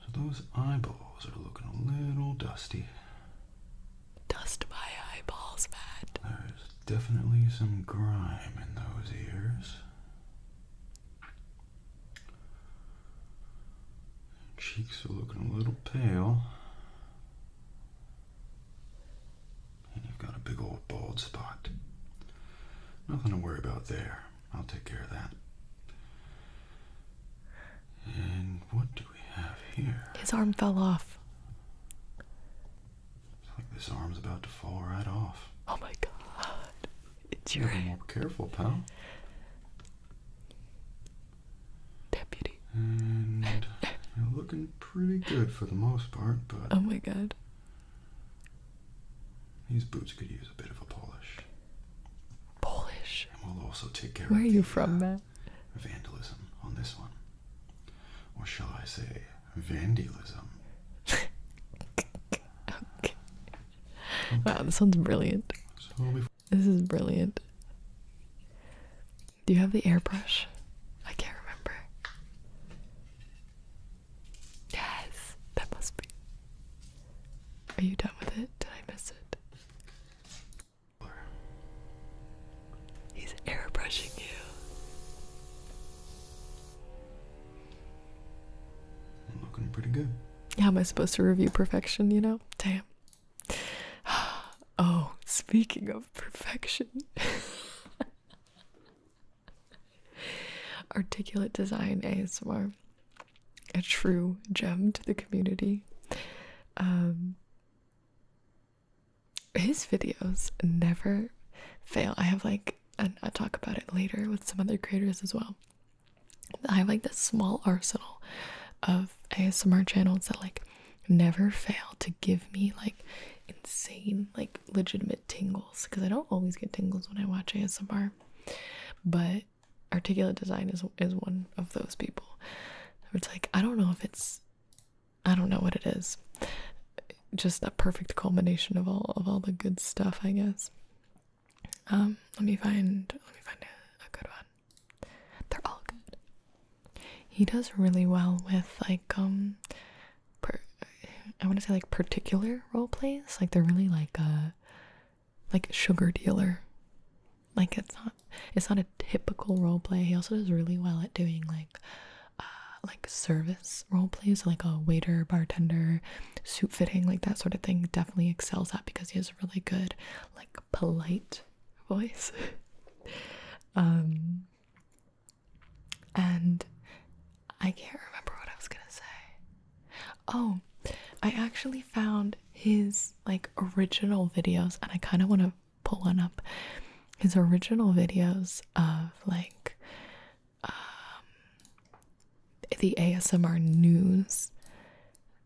So those eyeballs are looking a little dusty. Dust my eyeballs, Matt. There's definitely some grime in those ears. Cheeks are looking a little pale. And you've got a big old bald spot. Nothing to worry about there. I'll take care of that. And what do we have here? His arm fell off. It's like this arm's about to fall right off. Oh my god. It's your. Be more careful, pal. Deputy. And you're looking pretty good for the most part, but. Oh my god. These boots could use a bit of a polish. Polish. And we'll also take care of Where are you from, uh, Matt? vandalism on this one. Or shall I say, vandalism? Wow, this one's brilliant. this is brilliant. Do you have the airbrush? I can't remember. Yes, that must be. Are you done with it? Did I miss it? He's airbrushing you. I'm looking pretty good. Yeah, am I supposed to review perfection, you know? Damn. Oh, speaking of perfection. Articulate Design ASMR. A true gem to the community. Um his videos never fail. I have like, and i talk about it later with some other creators as well. I have like this small arsenal of ASMR channels that like never fail to give me like insane, like legitimate tingles because I don't always get tingles when I watch ASMR, but articulate design is is one of those people. It's like I don't know if it's I don't know what it is. Just a perfect culmination of all of all the good stuff, I guess. Um, let me find let me find a, good one. They're all good. He does really well with like um I want to say like particular role plays. Like they're really like a like sugar dealer like it's not it's not a typical role play. He also does really well at doing like uh like service role plays, like a waiter, bartender, suit fitting, like that sort of thing. Definitely excels at because he has a really good, like polite voice. um and I can't remember what I was gonna say. Oh, I actually found his like original videos and I kind of want to Pulling up. His original videos of like um, the ASMR news,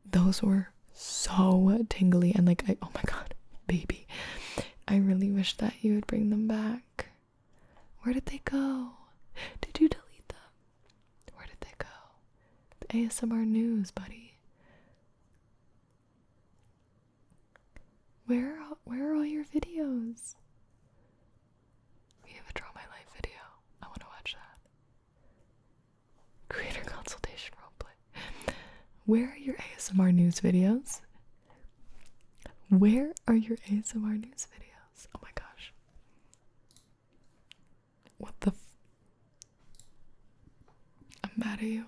those were so tingly and like I oh my god, baby. I really wish that you would bring them back. Where did they go? Did you delete them? Where did they go? The ASMR news, buddy. Where are, where are all your videos? We have a Draw My Life video. I want to watch that. Creator consultation roleplay. Where are your ASMR news videos? Where are your ASMR news videos? Oh my gosh. What the i I'm mad at you.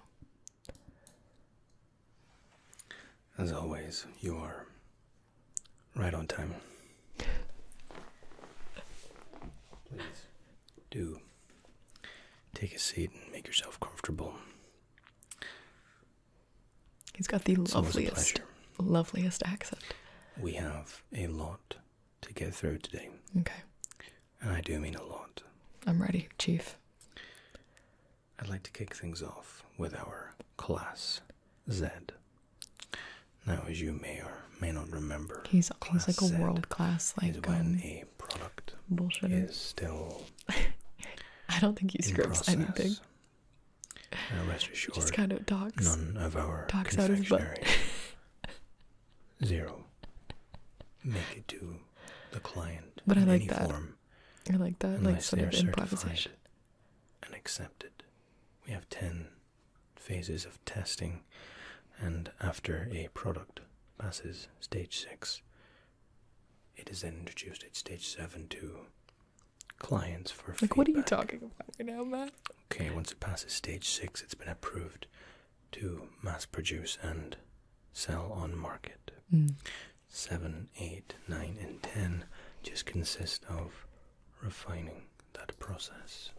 As always, you are right on time. Please do take a seat and make yourself comfortable. He's got the loveliest, loveliest accent. We have a lot to get through today. Okay. And I do mean a lot. I'm ready, Chief. I'd like to kick things off with our Class Z. Now, as you may or may not remember, he's, he's like a world class, like. Is when um, a product bullshit is still. I don't think he scripts anything. Uh, just kind of talks. None of our talks out of his butt. zero. Make it to the client. But I like that. I like that. Like sort of improvisation. And accepted. We have ten phases of testing, and after a product passes stage six, it is then introduced at stage seven to clients for like what are you talking about now, Matt? Okay, once it passes stage six, it's been approved to mass produce and sell on market. Mm. seven, eight, nine, and 10 just consist of refining that process.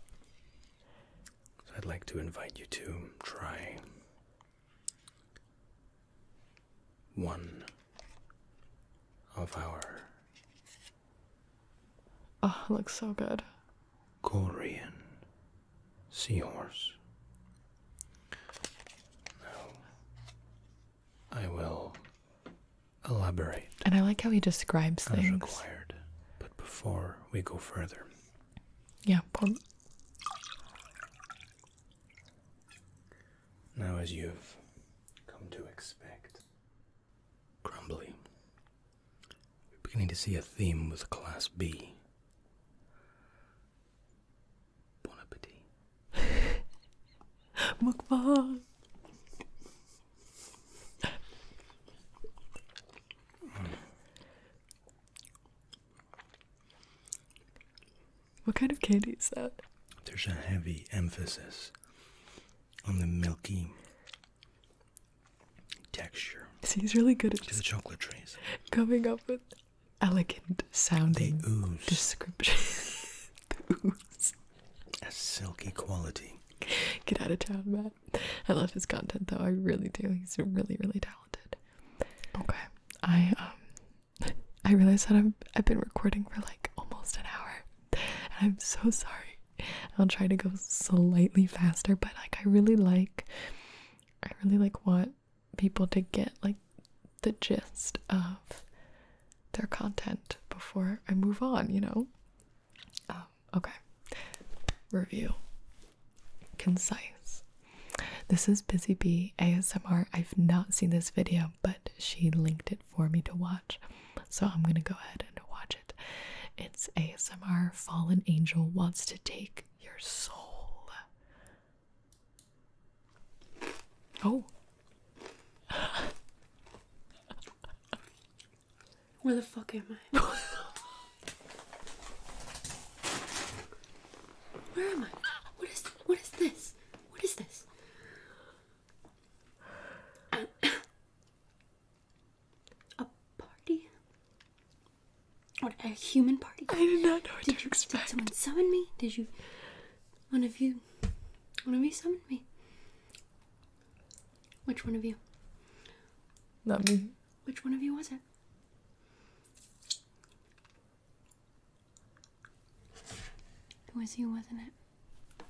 So I'd like to invite you to try one of our. Oh, it looks so good. Korean seahorse. Now, I will elaborate. And I like how he describes as things. Required, but before we go further. Yeah. Now, as you've come to expect, Crumbly, we are beginning to see a theme with Class B. Bon appetit. Mukbang. What kind of candy is that? There's a heavy emphasis on the milky texture. See, he's really good at just the chocolate trees. Coming up with elegant sounding description. A silky quality. Get out of town, Matt. I love his content though. I really do. He's really, really talented. Okay, I um, I realize that I'm I've been recording for like almost an hour, and I'm so sorry. I'll try to go slightly faster, but like I really like, I really like what people to get like the gist of their content before I move on, you know? Um, okay. Review. Concise. This is Busy Bee ASMR. I've not seen this video, but she linked it for me to watch. So I'm gonna go ahead and watch it. It's ASMR Fallen Angel Wants to Take Your Soul. Oh. Where the fuck am I? Where am I? What is what is this? What is this? A party? What a human party? I did not know did you, Did someone summon me? Did you? One of you? One of you summoned me. Which one of you? Not me. Which one of you was it? It was you, wasn't it?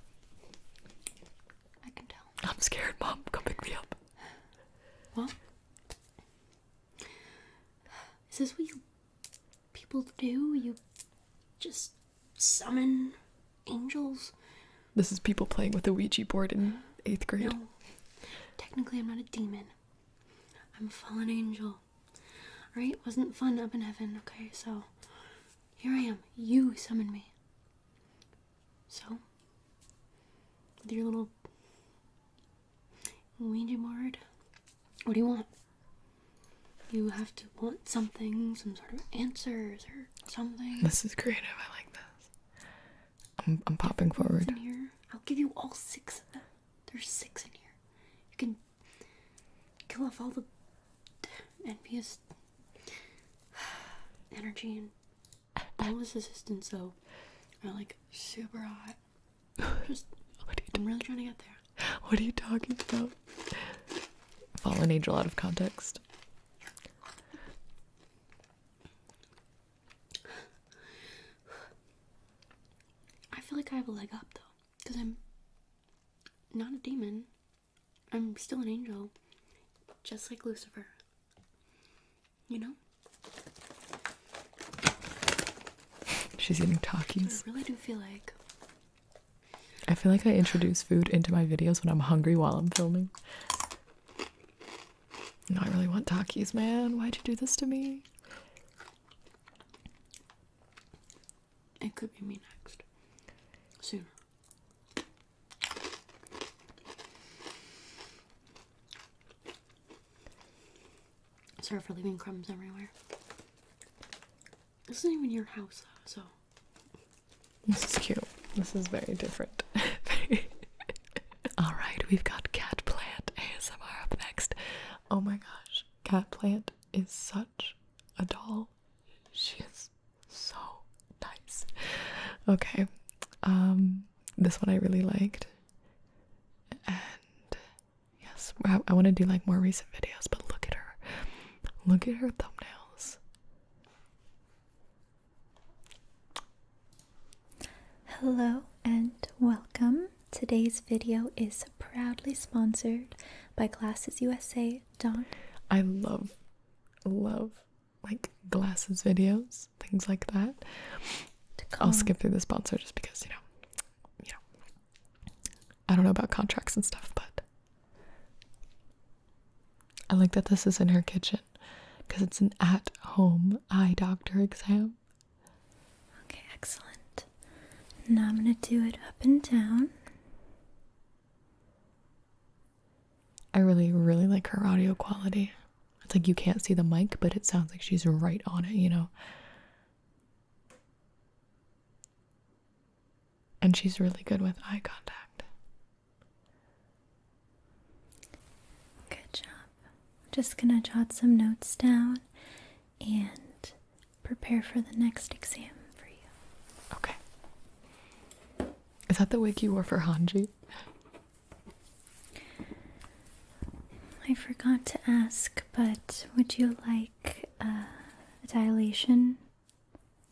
I can tell. I'm scared, Mom. Come pick me up. Well, this what you people do. You just summon angels. This is people playing with a Ouija board in eighth grade. No. Technically, I'm not a demon. I'm a fallen angel. Alright? Wasn't fun up in heaven, okay? So, here I am. You summoned me. So, with your little Ouija What do you want? You have to want something, some sort of answers or something. This is creative. I like this. I'm, I'm popping forward. In here. I'll give you all six of them. There's six in here. You can kill off all the NPS energy and bonus assistance. So, I'm like super hot. I'm really trying to get there. What are you talking about? Fallen angel out of context. I feel like I have a leg up though, because I'm not a demon. I'm still an angel, just like Lucifer. You know? She's eating Takis. I really do feel like. I feel like I introduce food into my videos when I'm hungry while I'm filming. No, I really want Takis, man. Why'd you do this to me? It could be me next. Soon. Sorry for leaving crumbs everywhere. This isn't even your house, so. This is cute. This is very different. All right, we've got cat plant ASMR up next. Oh my gosh, cat plant is such a doll. She is so nice. Okay, um, this one I really liked, and Yes, I, want to do like more recent videos, but look at her. Look at her thumbnails. Hello and welcome. Today's video is proudly sponsored by Glasses USA. Don. I love, love like glasses videos, things like that. I'll skip through the sponsor just because you know, you know, I don't know about contracts and stuff, but I like that this is in her kitchen because it's an at home eye doctor exam. Okay, excellent. Now I'm going to do it up and down. I really, really like her audio quality. It's like you can't see the mic, but it sounds like she's right on it, you know? And she's really good with eye contact. Good job. I'm just going to jot some notes down and prepare for the next exam for you. Okay. Is that the wig you wore for Hanji? I forgot to ask, but would you like uh, a dilation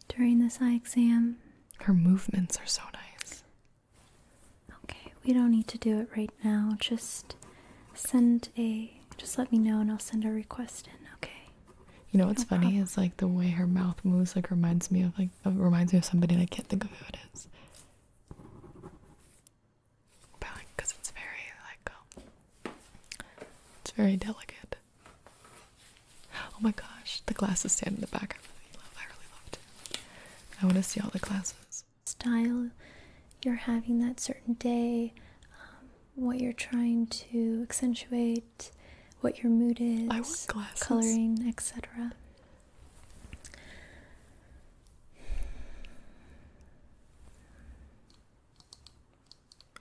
during this eye exam. Her movements are so nice. Okay, we don't need to do it right now. Just send a just let me know and I'll send a request in, okay? You know what's funny is like the way her mouth moves like reminds me of like reminds me of somebody I can't think of who it is because it's very like um, it's very delicate. Oh my gosh, the glasses stand in the back. I really love. loved it. I want to see all the glasses. Style you're having that certain day, um, what you're trying to accentuate, what your mood is. I want glasses. Coloring, etc.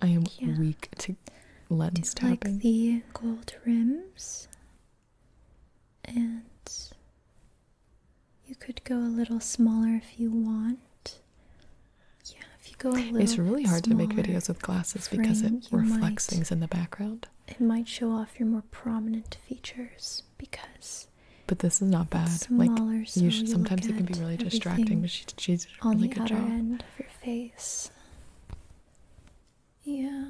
I am weak to lens Do you tapping. like the gold rims, and you could go a little smaller if you want. Yeah, if you go a little. It's really hard to make videos with glasses because it reflects things in the background. It might show off your more prominent features because. But this is not bad. Like, so you sometimes it can be really distracting on the good end of your face. Yeah.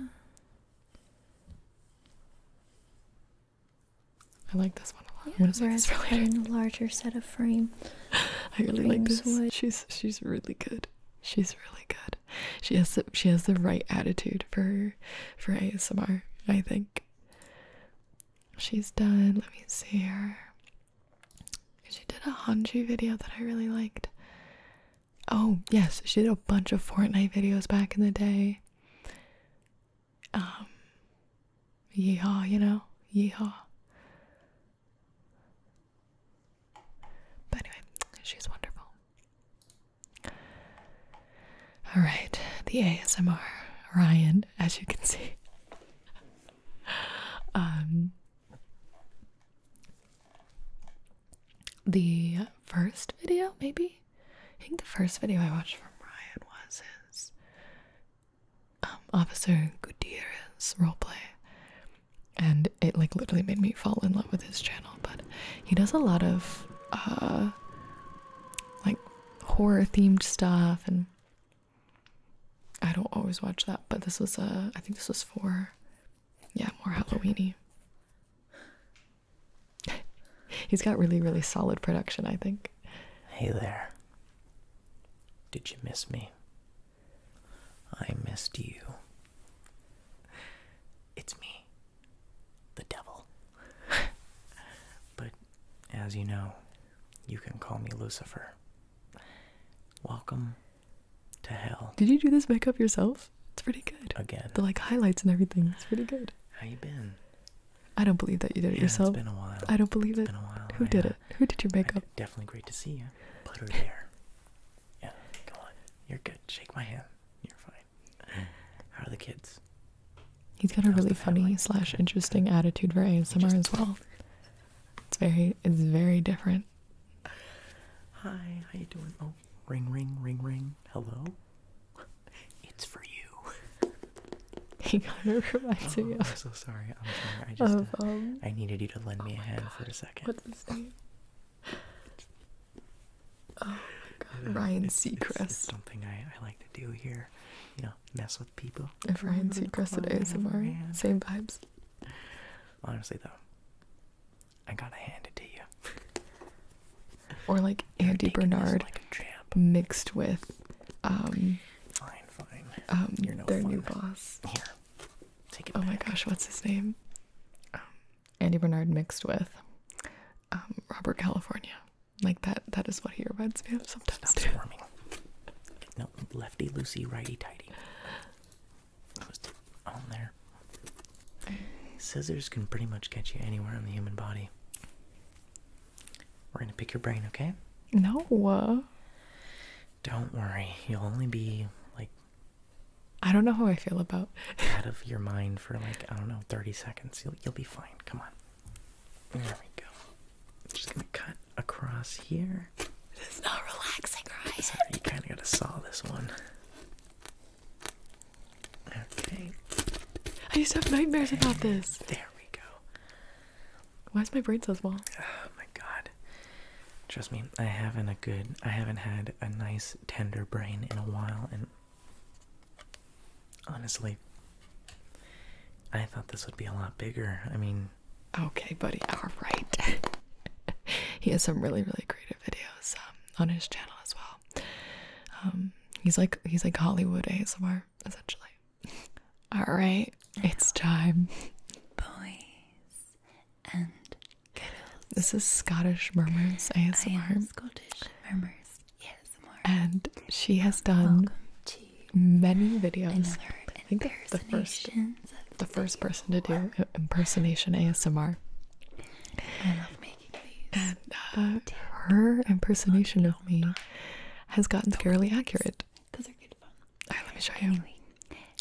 I like this one a lot. Yeah, really in larger set of frame. I really like this. She's she's really good. She's really good. She has the, she has the right attitude for for ASMR. I think. She's done. Let me see her. She did a Hanji video that I really liked. Oh, yes, she did a bunch of Fortnite videos back in the day. Um, yeehaw, you know? Yeehaw. But anyway, she's wonderful. Alright, the ASMR. Ryan, as you can see. um, the first video, maybe? I think the first video I watched from Ryan was his um, Officer Gutierrez role play, And it like literally made me fall in love with his channel. But he does a lot of uh, like horror themed stuff and I don't always watch that, but this was uh I think this was for yeah, more Halloweeny. He's got really, really solid production, I think. Hey there. Did you miss me? I missed you. It's me, the devil. but as you know, you can call me Lucifer. Welcome to hell. Did you do this makeup yourself? It's pretty good. Again. The like highlights and everything. It's pretty good. How you been? I don't believe that you did it yourself. It's been a while. I don't believe it. Been a while. Who did it? Who did your makeup? Definitely great to see you. Put her there. yeah, come on. You're good. Shake my hand. You're fine. How are the kids? He's got a really funny slash interesting attitude for ASMR just, as well. It's very it's very different. Hi, how you doing? Oh, ring ring ring ring. Hello. It's for you. He got of reminds me oh, I'm so sorry. I'm sorry. I just um, I needed you to lend oh me a hand for a second. What's his Oh my God, Ryan Seacrest. something I, I like to do here. You mess with people. If Ryan Seacrest and Safari, same vibes. Honestly, though, I gotta hand it to you. or like Andy Bernard, mixed with, um, um, their new boss. Here, take it. Oh my gosh, what's his name? Um, Andy Bernard mixed with, Robert California. Like that. That is what he reminds me of sometimes no, lefty loosey, righty tighty. That on there. Scissors can pretty much catch you anywhere on the human body. We're gonna pick your brain, okay? No. Don't worry. You'll only be like. I don't know how I feel about. out of your mind for like I don't know, thirty seconds. You'll you'll be fine. Come on. There we go. Just gonna cut across here. It's not relaxing, right? So you kind of got to saw this one. Okay. I used to have nightmares about this. There we go. Why is my brain so small? Oh my god. Trust me, I haven't a good. I haven't had a nice tender brain in a while, and honestly, I thought this would be a lot bigger. I mean, Okay, buddy. All right. he has some really, really creative videos um, on his channel as well. Um, he's like he's like Hollywood ASMR essentially. All right, it's time. Boys and girls. This is Scottish Murmurs ASMR. I am Scottish Murmurs ASMR. And she has done many videos. I think that's the first, the first person to do impersonation ASMR. And uh, her impersonation of me has gotten scarily accurate. All right, let me show you.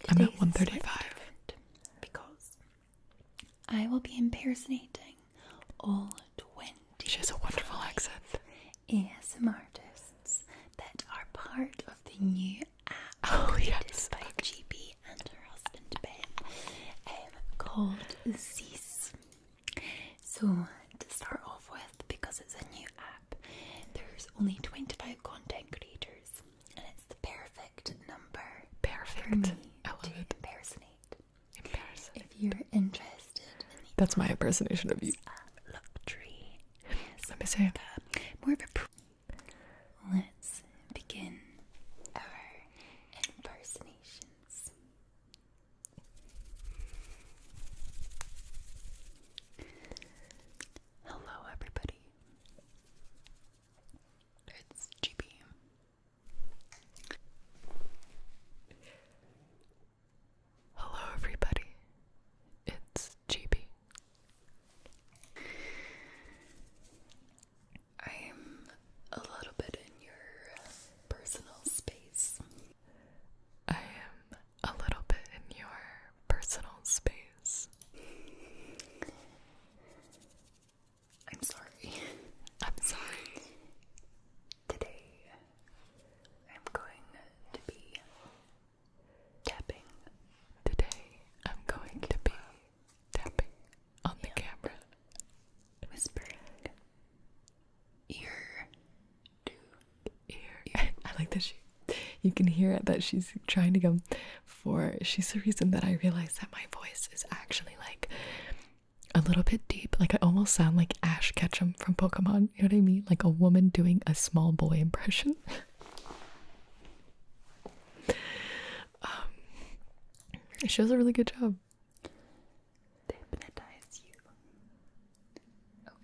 I'm at 1:35 Because I will be impersonating all 20. She has a wonderful accent. ASMR artists that are part of the new app oh, yes. by GB and her husband Ben um, called Zeus. So, to start off with, because it's a new app, there's only 25 content creators, and it's the perfect number perfect. for me to it. impersonate. If you're interested That's my impersonation of you. Luxury Yes. Let me see. Like a, uh, more of a. Let's begin our impersonations. Hello, everybody. It's GB. Hello, everybody. It's GB. I'm a little bit in your personal space. I am a little bit in your personal space. I'm sorry. I'm sorry. Today, I'm going to be tapping. Today I'm going to be tapping on the camera, whispering ear to ear. I like that she. You can hear it that she's trying to go for. She's the reason that I realized that my voice is actually like a little bit deep. Like I almost sound like Ash Ketchum from Pokemon. You know what I mean? Like a woman doing a small boy impression. um, she does a really good job.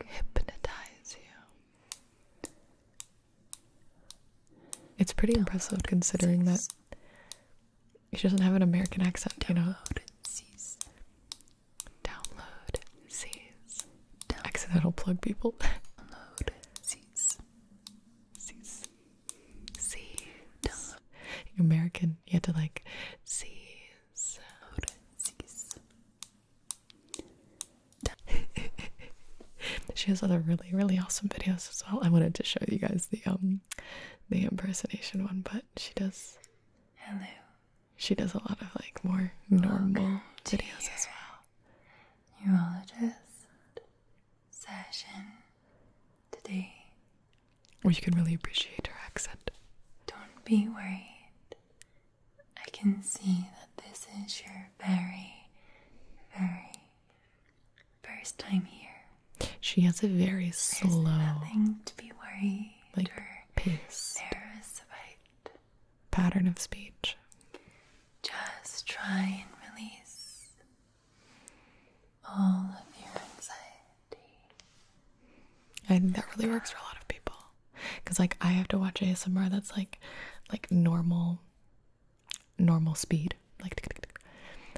hypnotize you. It's pretty impressive considering that she doesn't have an American accent, you know. Download sees. Accidental plug people. Download. C's. American. You had to like C's. Download. she has other really, really awesome videos as well. I wanted to show you guys the um the impersonation one, but she does Hello. She does a lot of like more normal videos as well neurologist session today. Well, you can really appreciate her accent. Don't be worried. I can see that this is your very, very first time here. She has a very slow, like, or pattern of speech. Just try and release all of your anxiety. I think that really works for a lot of people. Cause like I have to watch ASMR that's like like normal normal speed. Like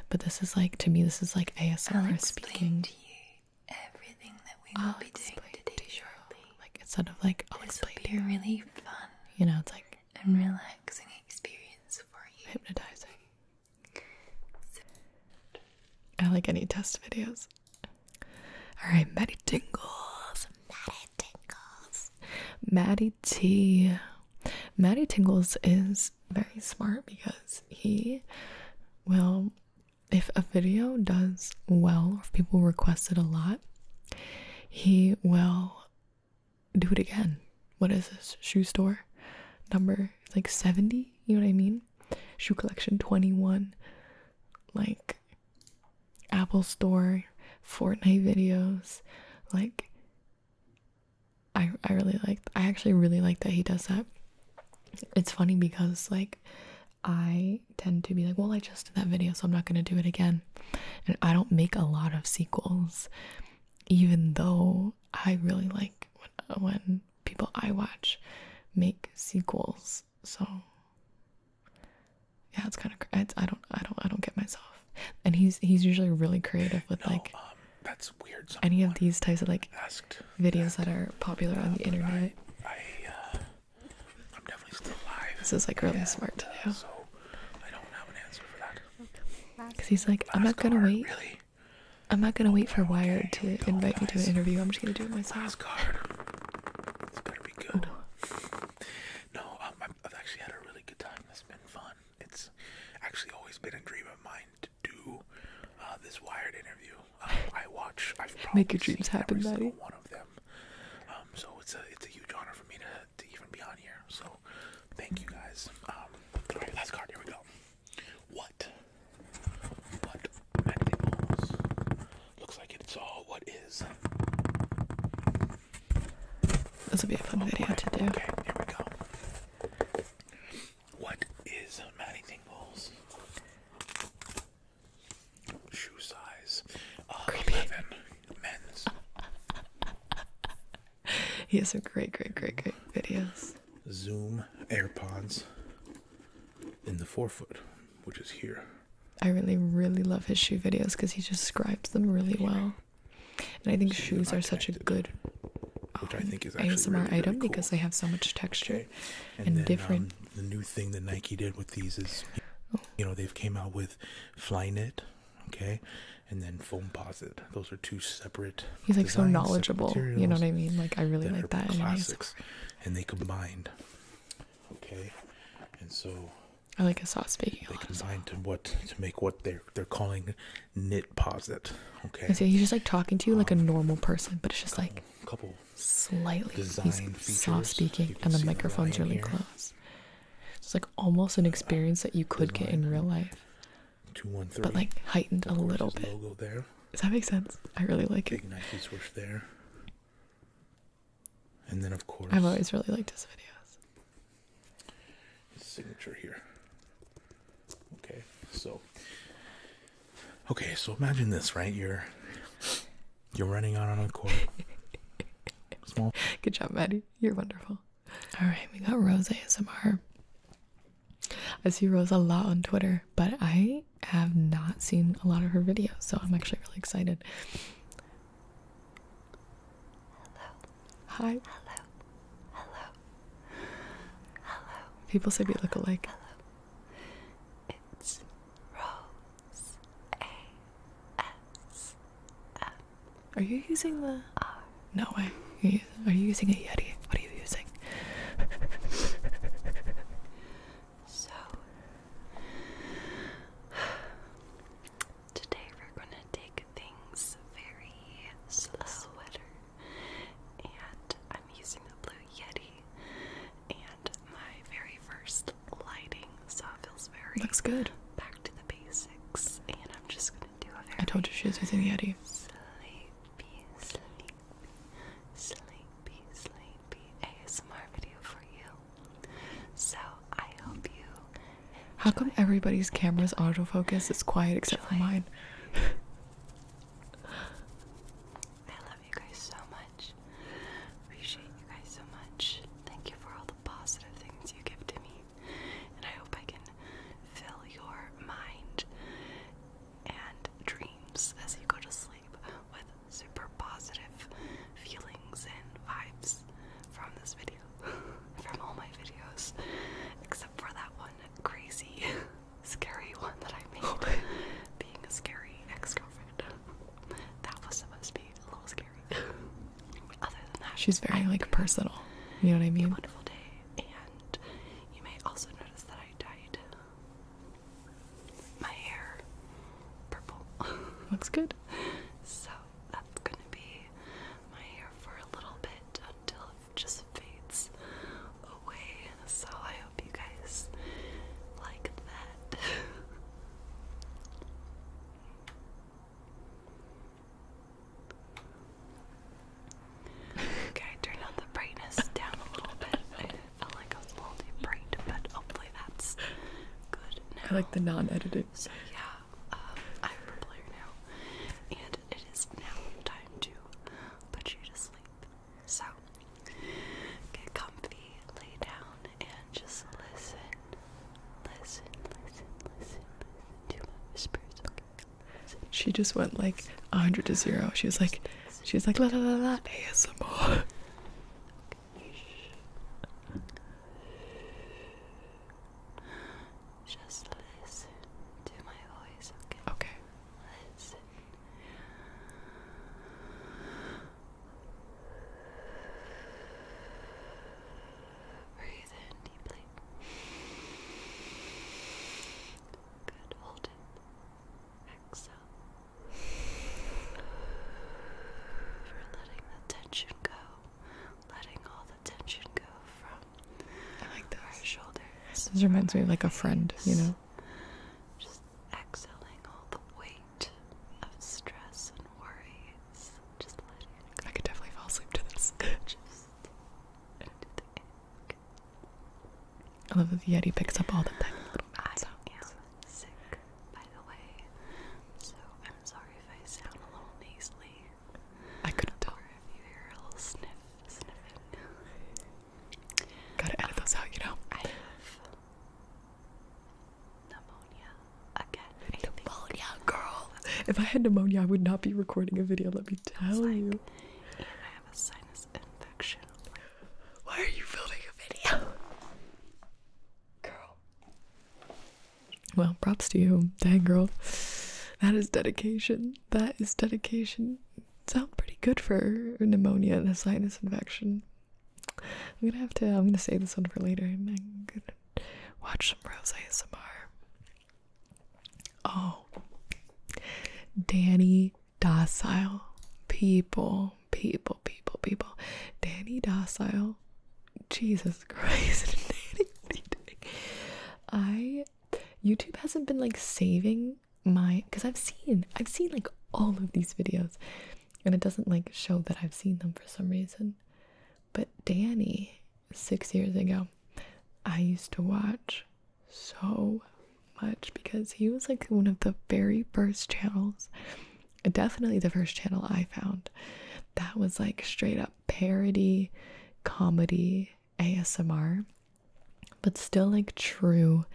but this is like to me this is like ASMR I'll speaking. To you everything that we will be doing today like instead of like always oh, this will be a really fun, you know, it's like and relaxing experience for you. Hypnotizing. So. I like any test videos. All right, Maddie Tingles, Maddie Tingles, Maddie T. Maddie Tingles is very smart because he will, if a video does well, or people request it a lot, he will do it again. What is this? Shoe store number like 70? You know what I mean? Shoe collection 21, like Apple Store, Fortnite videos. Like, I, I really like, I actually really like that he does that. It's funny because, like, I tend to be like, well, I just did that video, so I'm not gonna do it again and I don't make a lot of sequels, even though I really like when, uh, people I watch make sequels. So yeah, it's kind of I don't I don't I don't get myself. And he's he's usually really creative with like um, any of these types of like videos that, are popular on the internet. I'm definitely still alive. This is like really smart to uh, do. I don't have an answer for that. Because he's like, I'm not gonna wait. Really? I'm not gonna wait for Wired to invite me to an interview. I'm just gonna do it myself. Last card. It's to be good. no, um, I've actually had a really good time. It's been fun. It's actually always been a dream of mine to do uh, this Wired interview. Um, I watch. I've probably Make your dreams seen happen, every buddy. One of them. Um, so it's a it's a huge honor for me to to even be on here. So thank you guys. Um, all right, last card. Here we go. What? What? Magnet balls. Looks like it's all. Uh, what is? This will be a fun video to do. Okay, here we go. What is Maddie Tingles? Shoe size. Uh, Creepy. 11. he has some great, great, great, great videos. Zoom AirPods in the forefoot, which is here. I really, really love his shoe videos because he just describes them really well. And I think shoes are such a good which um, ASMR item because they have so much texture and, um, different. the new thing that Nike did with these is, oh. you know, they've came out with Flyknit, okay and then foam posit those are two separate he's like so knowledgeable you know what i mean like i really like that classics and they combined okay and so i like a sauce baking they combined to what to make what they're they're calling knit posit okay I he's just like talking to you like a um, normal person but it's just like slightly design soft speaking and the microphone's really close it's like almost an experience that you could get in real life. But like heightened a little bit. Does that make sense? I really like Big it. there. And then of course I've always really liked his videos. signature here. Okay, so Okay, so imagine this, right? You're you're running out on a court. Small. Good job, Maddie. You're wonderful. All right, we got Rose ASMR. I see Rose a lot on Twitter, but I have not seen a lot of her videos, so I'm actually really excited. Hi. Hello. Hello. Hello. People say we look alike. It's Rose A S are you using the? No way. Are you using a Yeti? What are you using? so today we're gonna take things very slow, and I'm using the blue Yeti and my very first lighting, so it feels very looks good. Back to the basics, and I'm just gonna do a very. I told you she was the Yeti. Sleepy, sleepy, sleepy, sleepy ASMR video for you. So I hope you. How come everybody's camera's autofocus is quiet except for mine? I love you guys so much. Appreciate you guys so much. Thank you for all the positive things you give to me. And I hope I can fill your mind and dreams as you go to sleep with super positive feelings and vibes from this video. from all my videos, except for that one crazy, scary one that I made oh being a scary ex girlfriend. that was supposed to be a little scary. she's very like personal. You know what I mean? Looks good. So that's gonna be my hair for a little bit until it just fades away. So I hope you guys like that. Okay, I turned the brightness down a little bit. It felt like a little too bright, but hopefully that's good now. I like the non editing So yeah, I'm um, a now, and it is now time to put you to sleep. So get comfy, lay down, and just listen Listen, listen, listen, listen to my whispers, okay? Listen. She just went like a hundred to zero. She was like, she was like la la la la ASMR. Okay. Just listen to my voice, okay? Okay. Listen. Breathe in deeply. Good, hold it. Exhale. For letting the tension go. Letting all the tension go from I like our shoulders. This reminds me of like a friend, you know? Just exhaling all the weight of stress I could definitely fall asleep to this. I love that the Yeti picks up all the tiny I am sick, by the way, so I'm sorry if I sound a little nasally. I couldn't tell. you hear a little sniff, sniffing. Gotta edit those out, you know. I have pneumonia again. Pneumonia, girl. If I had pneumonia, I would not be recording a video. Let me tell you. I have a sinus infection. Why are you filming a video, girl? Well, props to you, dang girl. That is dedication. That is dedication. Sound pretty good for pneumonia and a sinus infection. I'm gonna have to. I'm gonna save this one for later. I'm gonna watch some Rose ASMR. Oh, Danny Docile. People, people, people, people. Danny Docile. Jesus Christ. I YouTube hasn't been like saving my because I've seen I've seen like all of these videos and it doesn't like show that I've seen them for some reason. But Danny six years ago, I used to watch so much because he was like one of the very first channels, definitely the first channel I found that was like straight up parody, comedy, ASMR, but still like true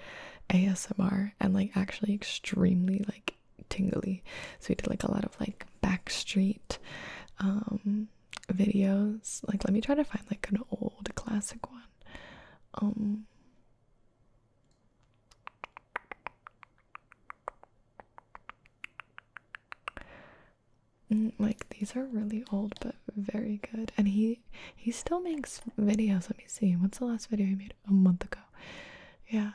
ASMR and like actually extremely like tingly. So he did like a lot of like backstreet um videos. Like let me try to find like an old classic one. Um mm, like these are really old but very good and he he still makes videos let me see what's the last video he made a month ago yeah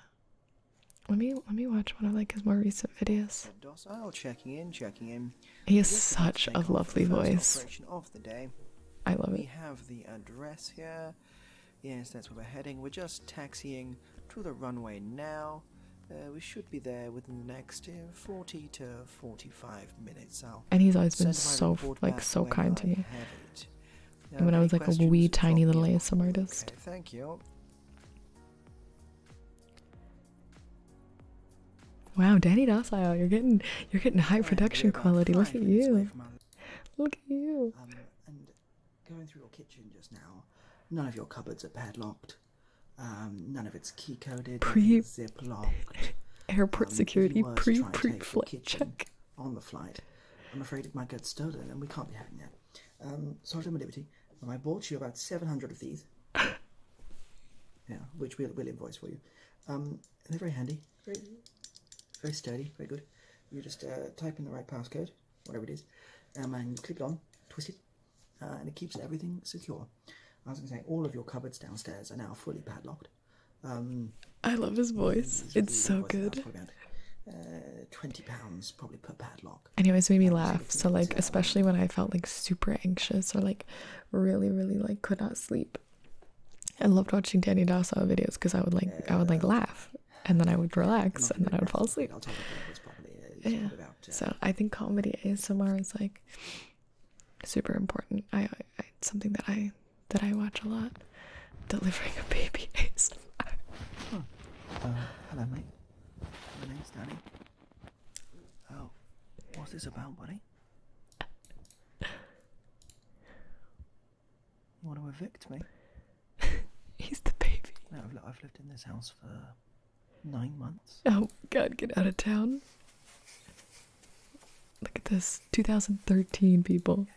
let me let me watch one of like his more recent videos ah, he has such a lovely voice. I love it. We have the address here. Yes, that's where we're heading. We're just taxiing to the runway now. Uh, we should be there within the next uh, 40 to 45 minutes. and he's always been so like so kind to me. when I was like a wee tiny little ASM artist. thank you. Wow, Danny Docile, you're getting you're getting high production quality. Look at you. Look at you. going through your kitchen just now, none of your cupboards are padlocked. Um, none of it's key coded. zip lock. Airport um, security pre pre flight check on the flight. I'm afraid it might get stolen, and we can't be having that. Um, so i my liberty. I bought you about 700 of these. yeah, which we'll, invoice for you. Um, they're very handy, very, very sturdy, very good. You just uh, type in the right passcode, whatever it is, um, and clip it on, twist it, uh, and it keeps everything secure. I was going to say, all of your cupboards downstairs are now fully padlocked. Um, I love his voice. It's so good. Uh, twenty pounds probably per padlock, anyways made me laugh so like especially when i felt like super anxious or like really really like could not sleep i loved watching danny dasawa videos because i would like i would like laugh and then i would relax and then i would fall asleep yeah uh, so i think comedy asmr is like super important i, it's something that i that i watch a lot delivering a baby asmr huh. uh, hello mate my name's danny Oh, what's this about, buddy? want to evict me? He's the baby. I've, lived in this house for nine months. Oh God, get out of town! Look at this, 2013 people.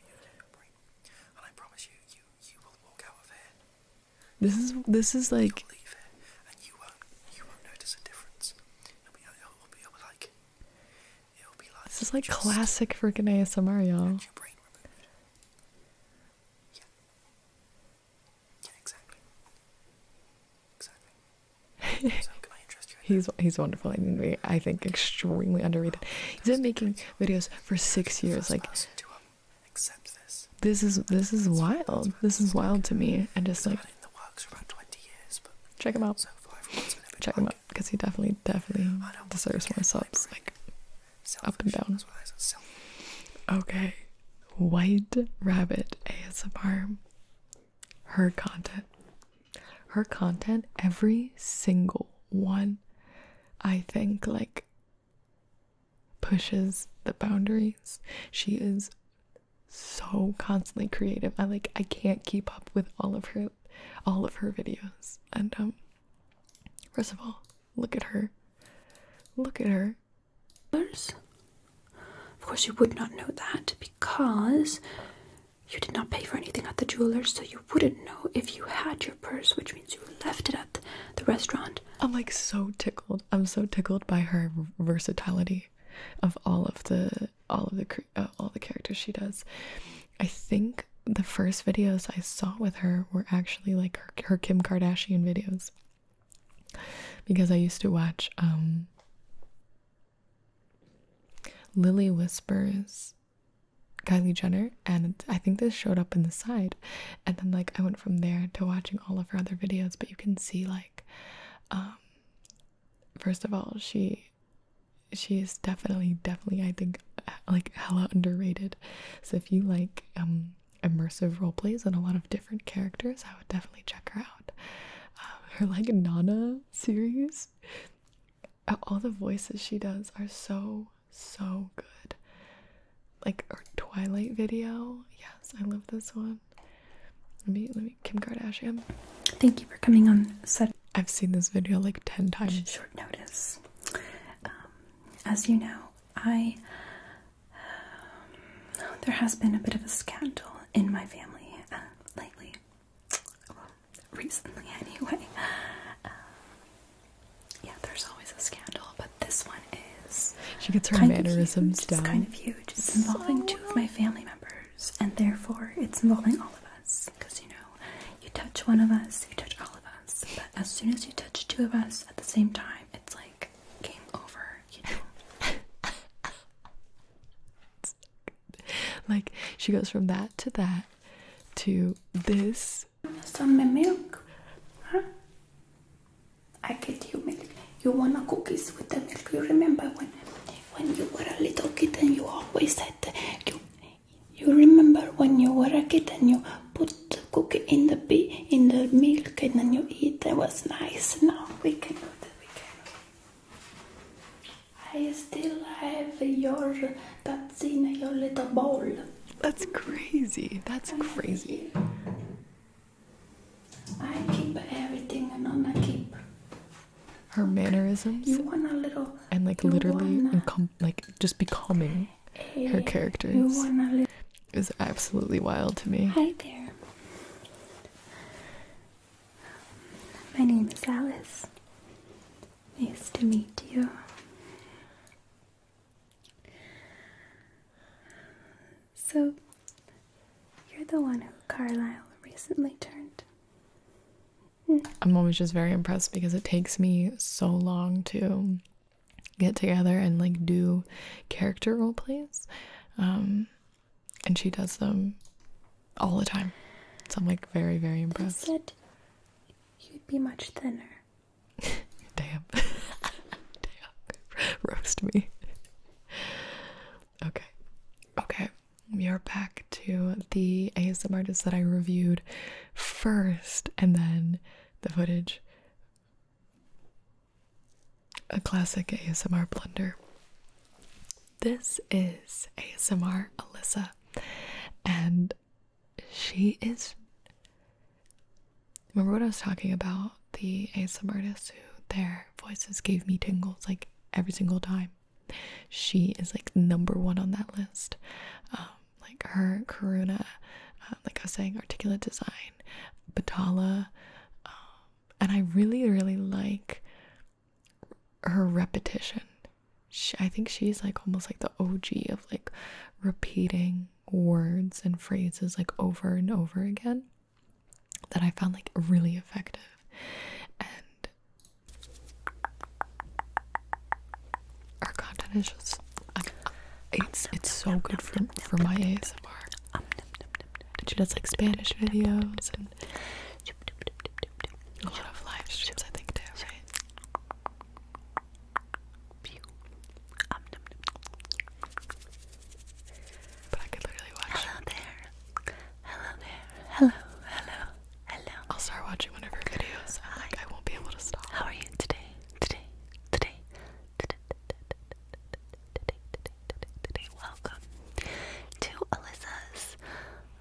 This is this is like. you and you won't notice a difference. This is like classic freaking ASMR, y'all. exactly. so can I interest you? he's he's wonderful. I think I think extremely underrated. He's been making videos for six years, like. This is this is wild. This is wild to me. And just like in the works for about twenty years, but check him out. So far, check him out because he definitely definitely deserves more subs. Like up and down. Okay, White Rabbit ASMR. Her content. Her content. Every single one. I think like pushes the boundaries. She is so constantly creative. I like I can't keep up with all of her all of her videos. And um first of all, look at her. Look at her. Of course you would not know that because you did not pay for anything at the jeweler, so you wouldn't know if you had your purse, which means you left it at the restaurant. I'm like so tickled. I'm so tickled by her versatility of all of the all of the uh, all the characters she does. I think the first videos I saw with her were actually like her, her Kim Kardashian videos because I used to watch um Lily Whispers Kylie Jenner and I think this showed up in the side and then like I went from there to watching all of her other videos but you can see like um, first of all she she is definitely definitely i think like hella underrated so if you like um, immersive role plays and a lot of different characters i would definitely check her out um, her like nana series all the voices she does are so so good like her twilight video yes i love this one let me, let me, Kim Kardashian. Thank you for coming on set. I've seen this video like 10 times. Short notice. Um, as you know, I, um, there has been a bit of a scandal in my family uh, lately. recently anyway. Uh, yeah, there's always a scandal, but this one is. She gets her mannerisms down. It's kind of huge. It's involving two of my family members, and therefore it's involving all of us. Because you know, you touch one of us, you touch all of us. But as soon as you touch two of us at the same time, it's like game over. You know. like she goes from that to that to this. Some milk, huh? I get you milk. You wanna cookies with the milk. You remember when when you were a little kid and you always said you you remember when you were a kid and you put the cookie in the bee in the milk and then you eat that was nice. Now we can do that we can I still have your that's in your little bowl. That's crazy. That's crazy. I keep everything, and I keep her mannerisms. and like literally, want like just becoming a, her characters is absolutely wild to me. Hi there. My name is Alice. Nice to meet you. So, you're the one who Carlyle recently turned. I'm always just very impressed because it takes me so long to get together and like do character role plays. Um, and she does them all the time. So I'm like very, very impressed. said you'd be much thinner. Damn. Damn. Roast me. Okay. Okay. We are back to the ASMR artist that I reviewed first and then the footage. A classic ASMR blunder. This is ASMR Alyssa, and she is. Remember what I was talking about? The ASMR artists who there voices gave me tingles like every single time. She is like number one on that list. Um, like her, Karuna, uh, like I was saying, articulate design, Batala, um, and I really, really like her repetition. She, I think she's like almost like the OG of like repeating words and phrases like over and over again that I found like really effective. And our content is just it's it's so good for for my ASMR. she does like Spanish videos and a lot of live streams I think too, but I could literally watch. Hello there. Hello there. Hello. Hello. Hello. I'll start watching one of her videos. I'm like, I won't be able to stop. How are you today? Today. Today. Today. Today. Today. Today. Welcome to Alyssa's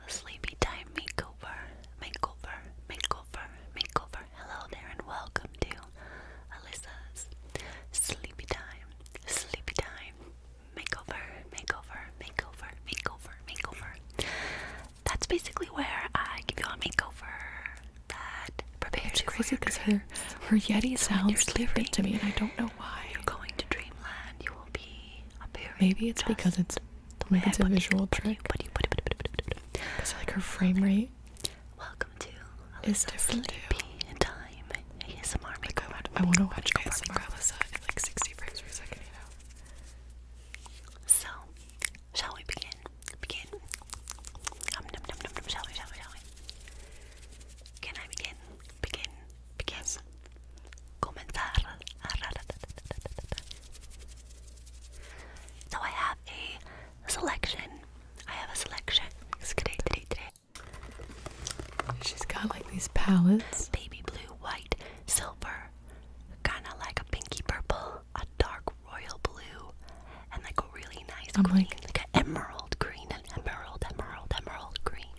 Sleepy Time Makeover. Makeover. Makeover. Makeover. Hello there and welcome to Alyssa's Sleepy Time. Sleepy Time makeover, makeover, makeover, makeover, makeover. That's basically where I give you a makeover that prepares you for your Her, her Yeti so sounds different to me, and I don't know why. You're going to dreamland. You will be appearing. Maybe it's because it's maybe it's a visual trick. Because like her frame rate. Welcome to. Is different. Be in time. ASMR like I want, to watch ASMR Alyssa like 60 frames per second, you know? So, shall we begin? Begin. Um, num, num, num, num, shall we, shall we, shall we? Can I begin? Begin. Begin. Comenzar. So I have a selection. I have a selection. She's got like these palettes. Baby blue, white, silver, kind of like a pinky purple, a dark royal blue, and like a really nice green, like, emerald green, and emerald, emerald, emerald green.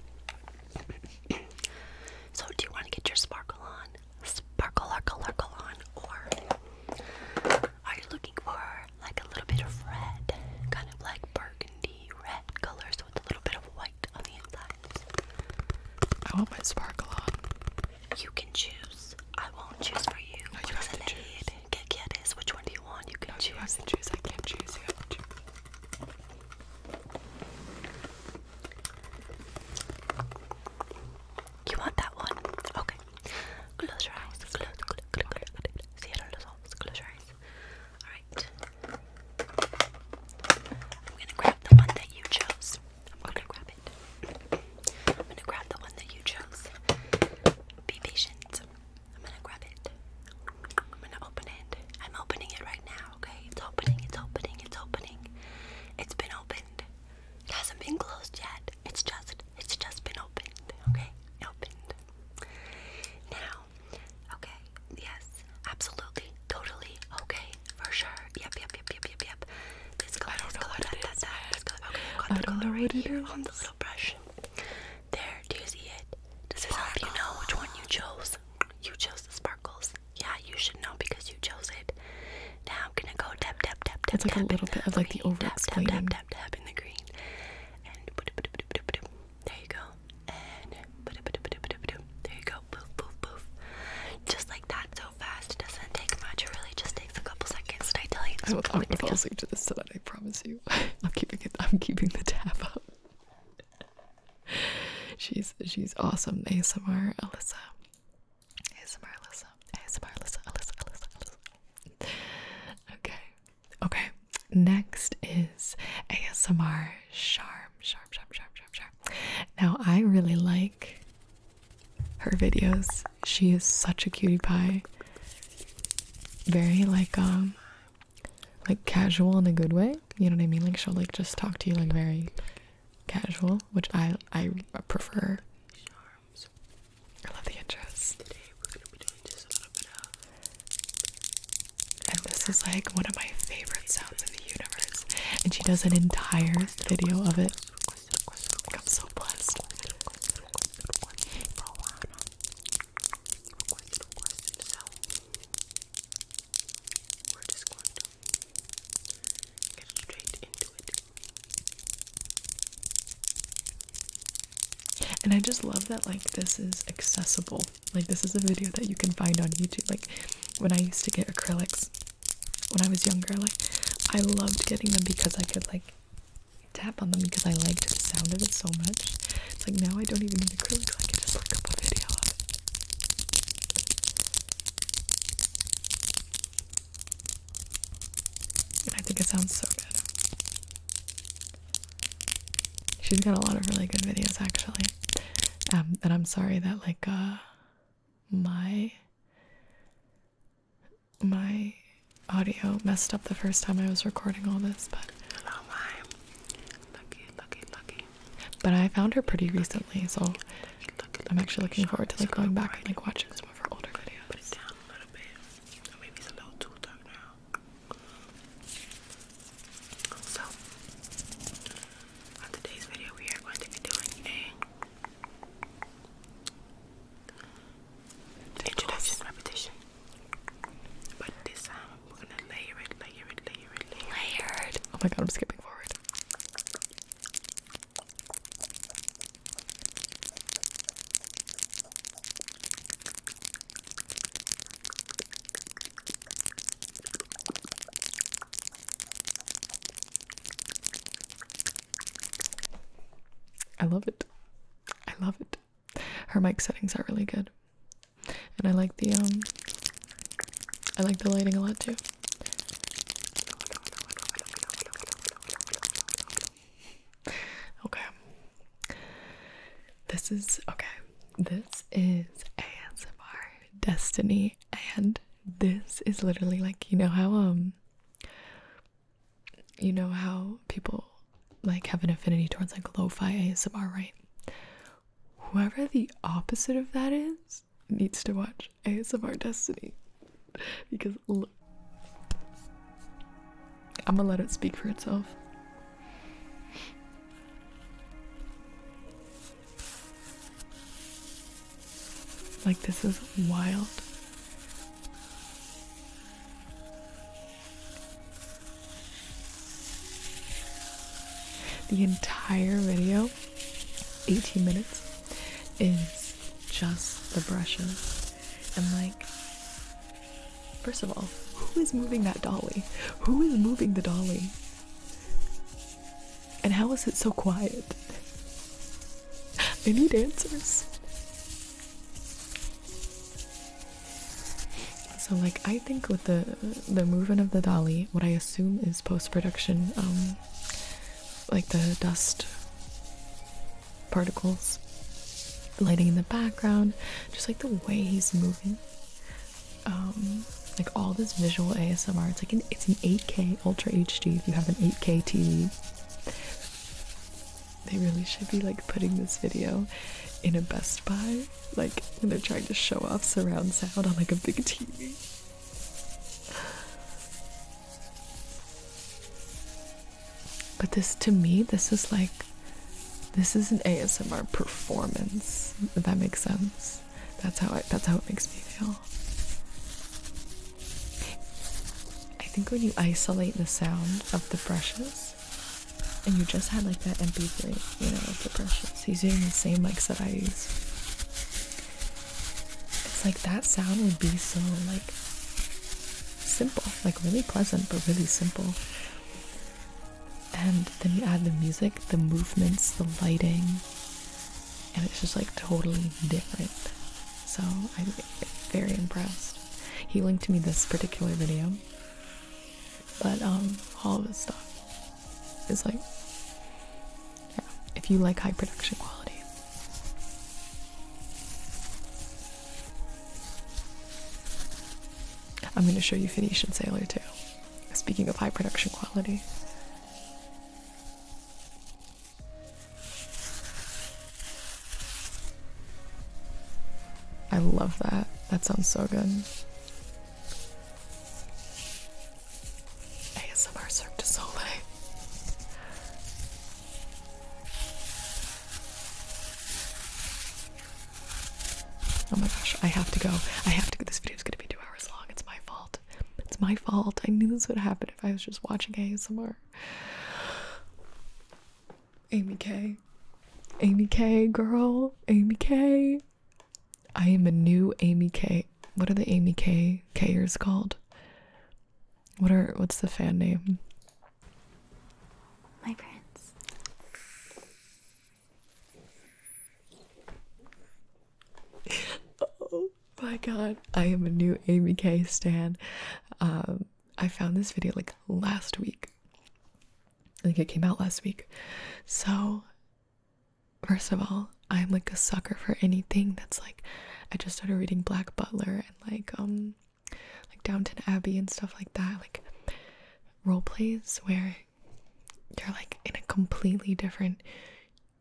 so, do you want to get your sparkle on? Sparkle, sparkle, sparkle on, or are you looking for like a little bit of red, kind of like burgundy red colors I want my sparkle on. You can choose. I won't choose for you. you have to choose. Get, get Which one do you want? You can choose. You have to choose. I can't choose. You have to choose. You want that one? Okay. Close your eyes. Close, close, close, close. Cierra los ojos. Close your eyes. Alright. I'm gonna grab the one that you chose. I'm gonna grab it. I'm gonna grab the one that you chose. Be patient. I'm gonna grab it. I'm gonna open it. I'm opening it right now, okay? It's opening, it's opening, it's opening. It's been opened. It hasn't been closed yet. It's just, it's just been opened, okay? Opened. Now, Okay, yes, absolutely, totally, okay, for sure. Yep, yep, yep, yep, yep, yep. This color, I don't this know color, what that, that, that, this color. Okay, I've got I the color right here on the little brush. There, do you see it? Does this help you know which one you chose? You chose the sparkles. Yeah, you should know because you chose it. Now I'm gonna go tap, tap, tap, tap, It's like a little bit of like the over Tap, tap, tap, tap, tap in the green. And there you go. And there you go. Poof, poof, poof. Just like that, so fast. It doesn't take much. It really just takes a couple seconds. Did I tell you? I'm, I'm gonna fall asleep to this tonight. I promise you. I'm keeping it. I'm keeping the tab up. she's she's awesome. ASMR Alyssa. ASMR Alyssa. ASMR Alyssa. Alyssa. Alyssa. Alyssa. Okay. Okay. Next is ASMR Sharp, sharp, sharp, sharp, sharp, sharp. Now I really like her videos. She is such a cutie pie. Very like um like casual in a good way. You know what I mean? Like she'll like just talk to you like very casual, which I I prefer. I love the interest. Today we're gonna be doing just a little bit of and this is like one of my favorite sounds in the universe. And she does an entire video of it. And I just love that like this is accessible like this is a video that you can find on YouTube. Like when I used to get acrylics when I was younger, like I loved getting them because I could like tap on them because I liked the sound of it so much. It's like now I don't even need acrylics, I can just look up a video of it. I think it sounds so good. She's got a lot of really good videos actually. That um, i'm sorry that like uh my my audio messed up the first time i was recording all this but oh but i found her pretty recently so i'm actually looking forward to like going back and like watching some of her older videos so, on today's video, we are going to be doing a introduction repetition. But this time, we're gonna layer it, layer it, layer it, layer it. Oh my god, I'm skipping forward. I love it. I love it. Her mic settings are really good. And I like the um I like the lighting a lot too. Okay. This is okay. This is ASMR destiny and this is literally like you know how um you know how people like have an affinity towards like lo-fi ASMR, right? Whoever the opposite of that is needs to watch ASMR Destiny because look, i am I'm gonna let it speak for itself. Like, this is wild. The entire video, 18 minutes, is just the brushes. And, like, first of all, who is moving that dolly? Who is moving the dolly? And how is it so quiet? I need answers. So, like, I think with the the movement of the dolly, what I assume is post production, um, like the dust particles, lighting in the background, just like the way he's moving. Um, like all this visual ASMR. It's like it's an 8K Ultra HD. If you have an 8K TV, they really should be like putting this video in a Best Buy, like when they're trying to show off surround sound on like a big TV. But this to me, this is like this is an ASMR performance, if that makes sense. That's how I, that's how it makes me feel. I think when you isolate the sound of the brushes, and you just had like that MP3, you know, the brushes, he's using the same mics that I use. It's like that sound would be so like simple, like really pleasant, but really simple and then you add the music, the movements, the lighting, and it's just like totally different. So I'm very impressed. He linked me this particular video, but um, all of this stuff is like, yeah, if you like high production quality. I'm going to show you Phoenician Sailor too. Speaking of high production quality, I love that. That sounds so good. ASMR Cirque du Soleil. Oh my gosh, I have to go. I have to go. This video is going to be two hours long. It's my fault. It's my fault. I knew this would happen if I was just watching ASMR. Amy K. Amy K, girl. Amy K. I am a new Amy K. What are the Amy K Kers called? What are what's the fan name? My prince oh my god, I am a new Amy K stan. Um, I found this video like last week. I think it came out last week. So, first of all, I'm like a sucker for anything that's like I just started reading Black Butler and like um like Downton Abbey and stuff like that, like role plays where you're like in a completely different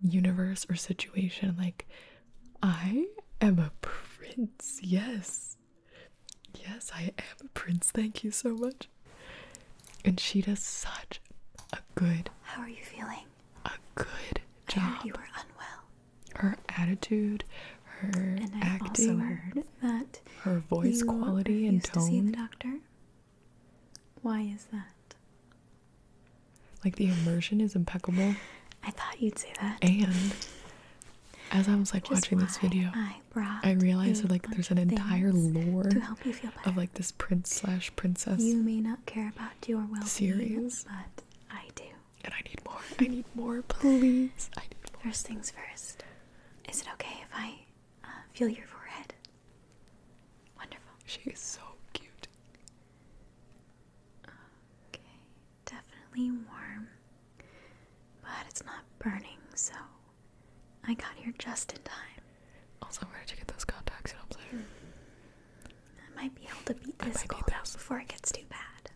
universe or situation like I am a prince. Yes. Yes, I am a prince. Thank you so much. And she does such a good How are you feeling? A good job. I heard you were unwell. Her attitude, her acting, her voice quality and tone. the doctor. Why is that? Like the immersion is impeccable. I thought you'd say that. And as I was like watching this video, I, realized that like there's an entire lore of like this prince slash princess. You may not care about your well-being, series. but I do. And I need more. I need more, please. First things first. Is it okay if I uh, feel your forehead? Wonderful. She is so cute. Okay, definitely warm, but it's not burning, so I got here just in time. Also, where did you get those contacts? Hmm. i might be able to beat this cold before it gets too bad.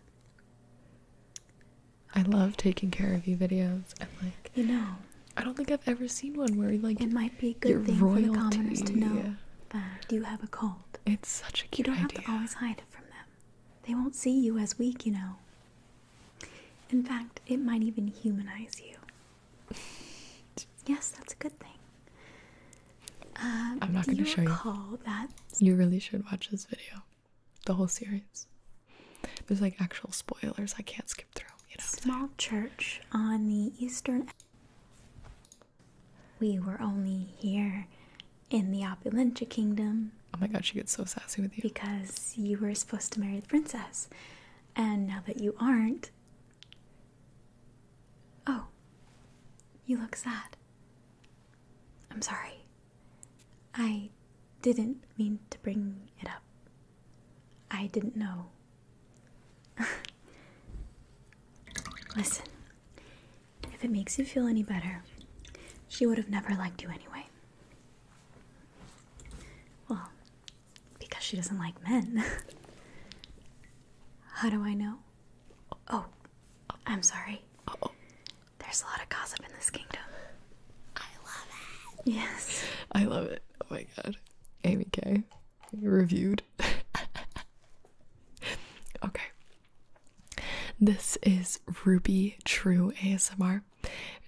I love taking care of you videos and like you know I don't think I've ever seen one where like it might be good for the commoners to know Do you have a cold. It's such a cute idea. You don't have to always hide it from them. They won't see you as weak, you know. In fact, it might even humanize you. yes, that's a good thing. Um, I'm not going to show you. That? You really should watch this video, the whole series. There's like actual spoilers I can't skip through. You know, small church on the eastern we were only here in the Opulentia Kingdom. Oh my god, she gets so sassy with you. Because you were supposed to marry the princess. And now that you aren't. Oh, you look sad. I'm sorry. I didn't mean to bring it up. I didn't know Listen, if it makes you feel any better, she would have never liked you anyway. Well, because she doesn't like men. How do I know? Oh, I'm sorry. There's a lot of gossip in this kingdom. I love it. Yes. I love it. Oh my god. Amy K. Reviewed. okay. This is Ruby True ASMR.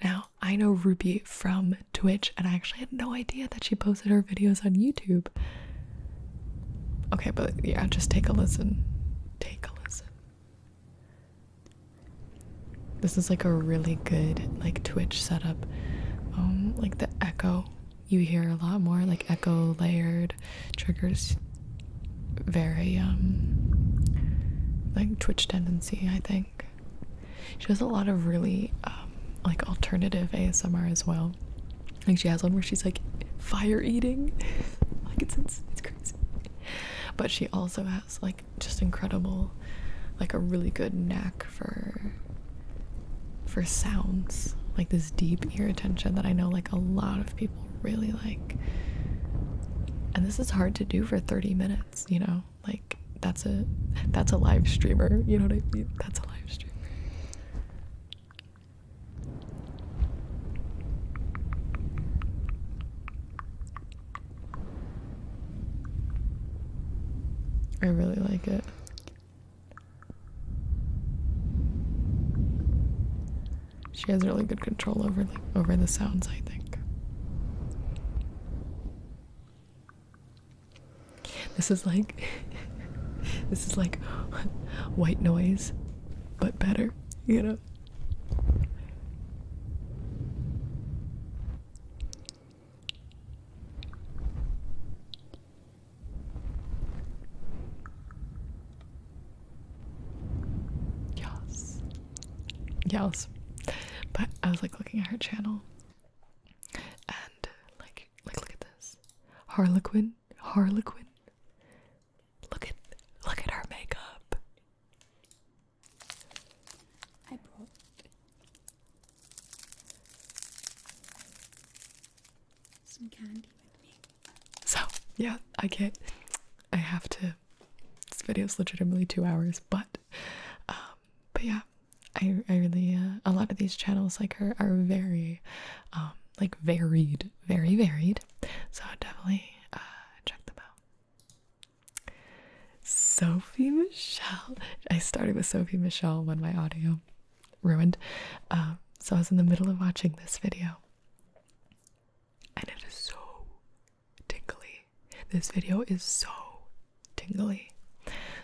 Now, I know Ruby from Twitch, and I actually had no idea that she posted her videos on YouTube. Okay, but yeah, just take a listen. Take a listen. This is like a really good like Twitch setup. Um, like the echo you hear a lot more like echo layered triggers very um like twitch tendency i think she does a lot of really um like alternative asmr as well like she has one where she's like fire eating like it's it's crazy but she also has like just incredible like a really good knack for for sounds like this deep ear attention that I know like a lot of people really like. And this is hard to do for 30 minutes, you know? Like that's a that's a live streamer, you know what I mean? That's a live streamer. I really like it. She has really good control over the, over the sounds, I think. This is like this is like white noise, but better, you know. Yes. Yes. But I was like looking at her channel and like like look at this. Harlequin. Harlequin. Look at look at her makeup some candy with me. So yeah, I get. I have to. This video is legitimately two hours, but, um, but yeah, I I really uh, a lot of these channels like her are very, um, like varied, very varied. So definitely uh, check them out. Sophie Michelle. I started with Sophie Michelle when my audio ruined. Um, so I was in the middle of watching this video, and it is so tingly. This video is so tingly.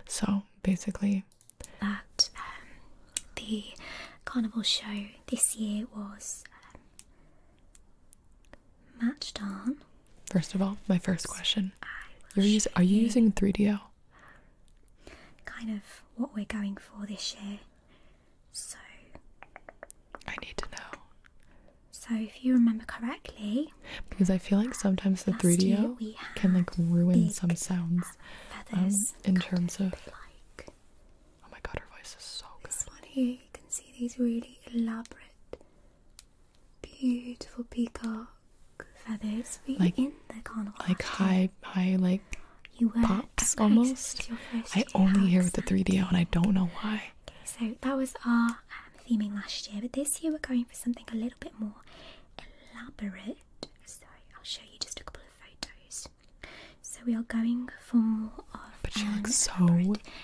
So basically, that um, the carnival show this year was um, matched on. First of all, my first question: You're use, Are you using 3DO? kind of what we're going for this year. So, I need to know. So, if you remember correctly, because I feel like sometimes the 3 D can like ruin some sounds um, in terms of. Like, oh my god, her voice is so good. This one here, you can see these really elaborate, beautiful peacocks feathers were like, in the carnival? Like high, high, like you pops almost. I only hear with the 3DO and I don't know why. Okay, so that was our um, theming last year, but this year we're going for something a little bit more elaborate. So I'll show you just a couple of photos. So we are going for more of. But she looks so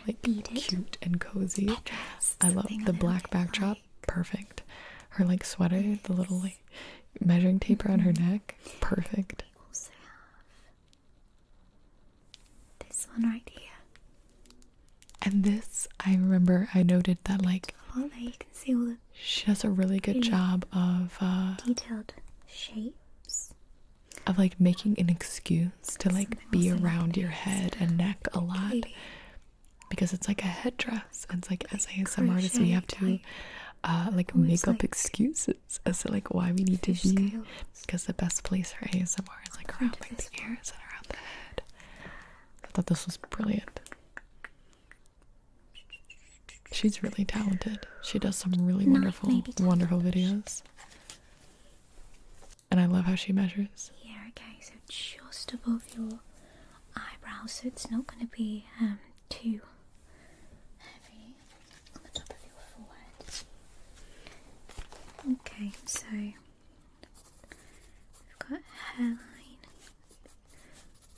like cute and cozy. I love the black backdrop. Perfect. Her like sweater, the little measuring tape around her neck. Perfect. We also have this one right here. And this, I remember, I noted that like. She does a really good job of uh, detailed shapes. Of like making an excuse to like be around your head and neck a lot. Because it's like a headdress. It's like as a as ASM artists we have to uh, like oh, make up excuses as to like why we need to be because the best place for ASMR is like around the ears and around the head. I thought this was brilliant. She's really talented. She does some really wonderful, wonderful videos. And I love how she measures. Here, okay, so just above your eyebrows, so it's not going to be um, Two. Okay, so we've got hairline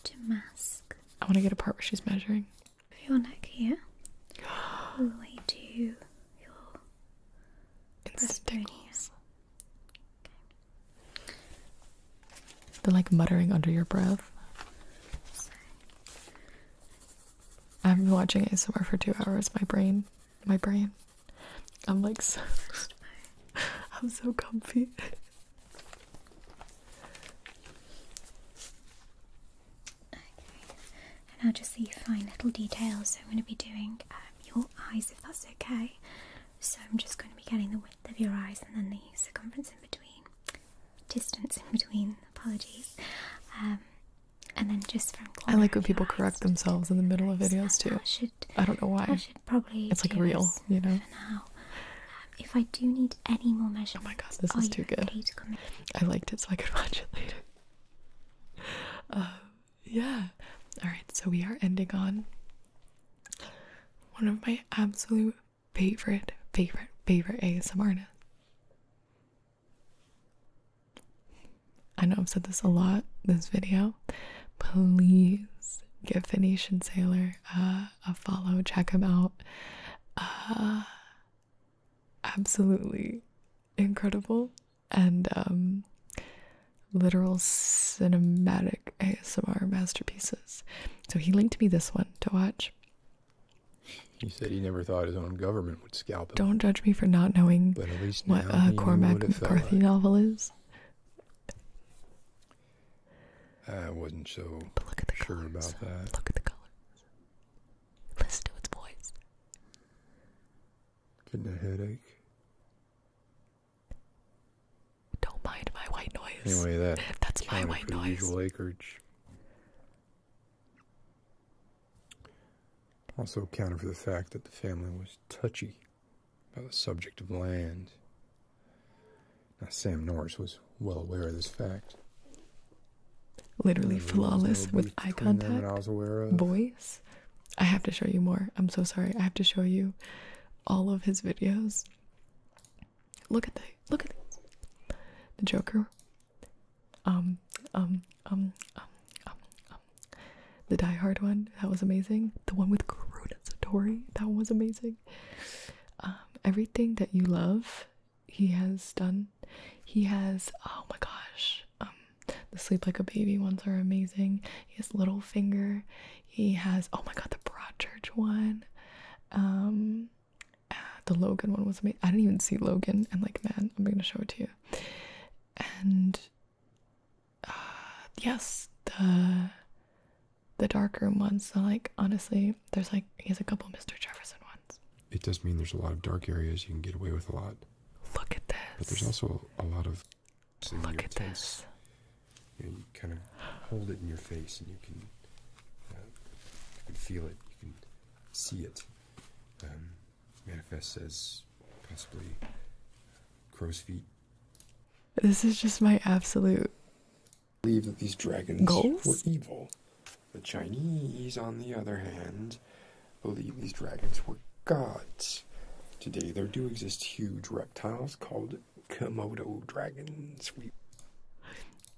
to mask. I want to get a part where she's measuring. Your neck here, all the way to your breastbone here. Okay. The like muttering under your breath. I've been watching ASMR for two hours. My brain, my brain. I'm like I'm so comfy. And I'll just see fine little details. So I'm going to be doing um, your eyes, if that's okay. So I'm just going to be getting the width of your eyes and then the circumference in between distance in between. Apologies. Um, and then just from I like when people correct themselves in the middle of videos too. I, should, I don't know why. I should probably. It's like real, you know. Um, if I do need any more measurements, oh my god, this is too good. I liked it, so I could watch it later. Uh, yeah. All right, so we are ending on one of my absolute favorite, favorite, favorite ASM I know I've said this a lot this video. Please give Venetian Sailor uh, a follow. Check him out. Uh, absolutely incredible and um, literal cinematic ASMR masterpieces. So he linked me this one to watch. He said he never thought his own government would scalp him. Don't judge me for not knowing but at least what uh, a Cormac McCarthy novel is. I wasn't so sure about that. Look at the colors. Listen to its voice. Getting a headache. Don't mind my white noise. Anyway, that that's my white noise. Also accounted for the fact that the family was touchy about the subject of land. Now, Sam Norris was well aware of this fact. Literally flawless with eye contact, voice. I have to show you more. I'm so sorry. I have to show you all of his videos. Look at the look at The Joker. Um, um, um, um, um, um. The Die Hard one that was amazing. The one with Kuroda Satori that one was amazing. Um, everything that you love, he has done. He has. Oh my gosh. Um, the Sleep Like a Baby ones are amazing. He has Littlefinger. He has. Oh my god, the Broadchurch one. Um, the Logan one was amazing. I didn't even see Logan, and like, man, I'm gonna show it to you. And uh, yes, the the dark room ones. So like, honestly, there's like he has a couple Mr. Jefferson ones. It does mean there's a lot of dark areas. You can get away with a lot. Look at this. But there's also a lot of. Look at this. And you kind of hold it in your face, and you can you can feel it, you can see it. Um, manifest as possibly uh, crow's feet. This is just my absolute. I believe that these dragons were evil. The Chinese, on the other hand, believe these dragons were gods. Today, there do exist huge reptiles called Komodo dragons.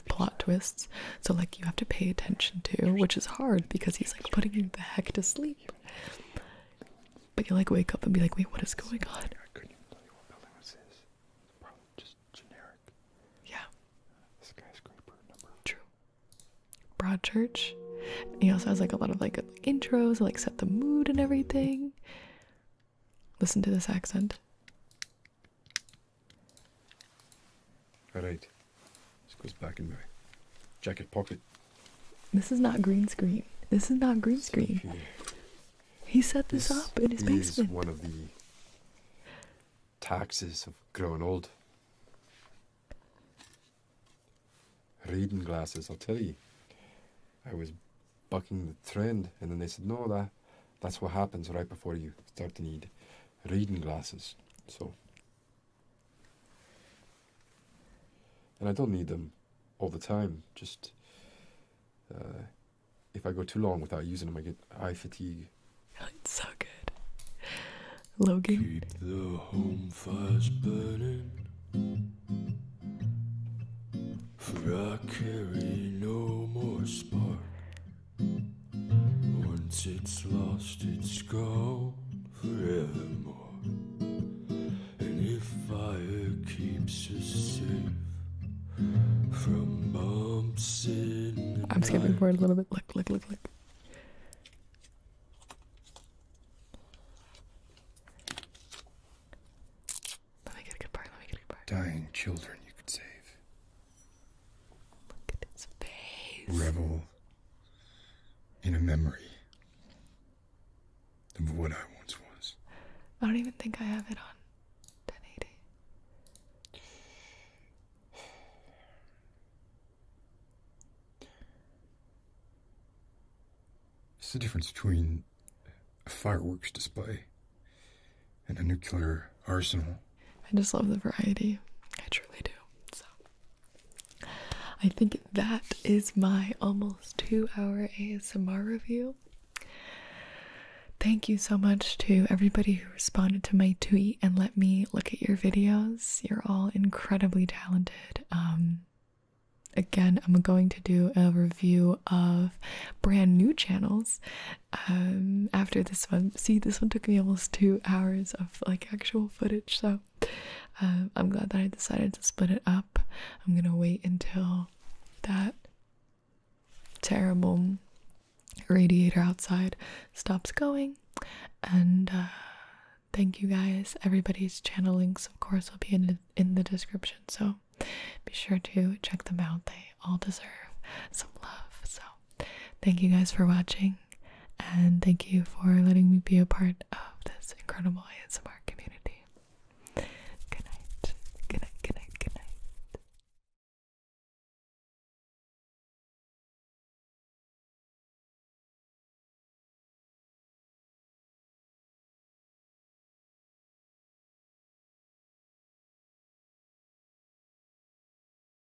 plot twists, so like you have to pay attention to, which is hard because he's like putting you the heck to sleep. But you like wake up and be like, wait, what is going on? I could Yeah. True. Broadchurch. he also has like a lot of like intros, like set the mood and everything. Listen to this accent. Alright. This goes back in my jacket pocket. This is not green screen. This is not green screen. He set this, up in his basement. Is one of the taxes of growing old. Reading glasses, I'll tell you. I was bucking the trend, and then they said, "No, that's what happens right before you start to need reading glasses. So, and I don't need them all the time. Just uh, if I go too long without using them, I get eye fatigue. It's so good, Logan. home fires burning. For I carry no more spark. Once it's lost, it's gone forevermore. And if fire keeps us safe from bumps in I'm skipping forward a little bit. Look, look, look, look. Let me get a good part. Let me get a good part. Dying children you could save. Look at its Revel in a memory of what I once was. I don't even think I have it on 1080. It's the difference between a fireworks display and a nuclear arsenal. I just love the variety. I truly do. So I think that is my almost two hour ASMR review. Thank you so much to everybody who responded to my tweet and let me look at your videos. You're all incredibly talented. Um, again, I'm going to do a review of brand new channels um, after this one. See, this one took me almost two hours like actual footage so um, i'm glad that i decided to split it up i'm gonna wait until that terrible radiator outside stops going and uh, thank you guys everybody's channel links of course will be in in the description so be sure to check them out they all deserve some love so thank you guys for watching, and thank you for letting me be a part of this incredible ASMR community. Good night, good night, good night, good night.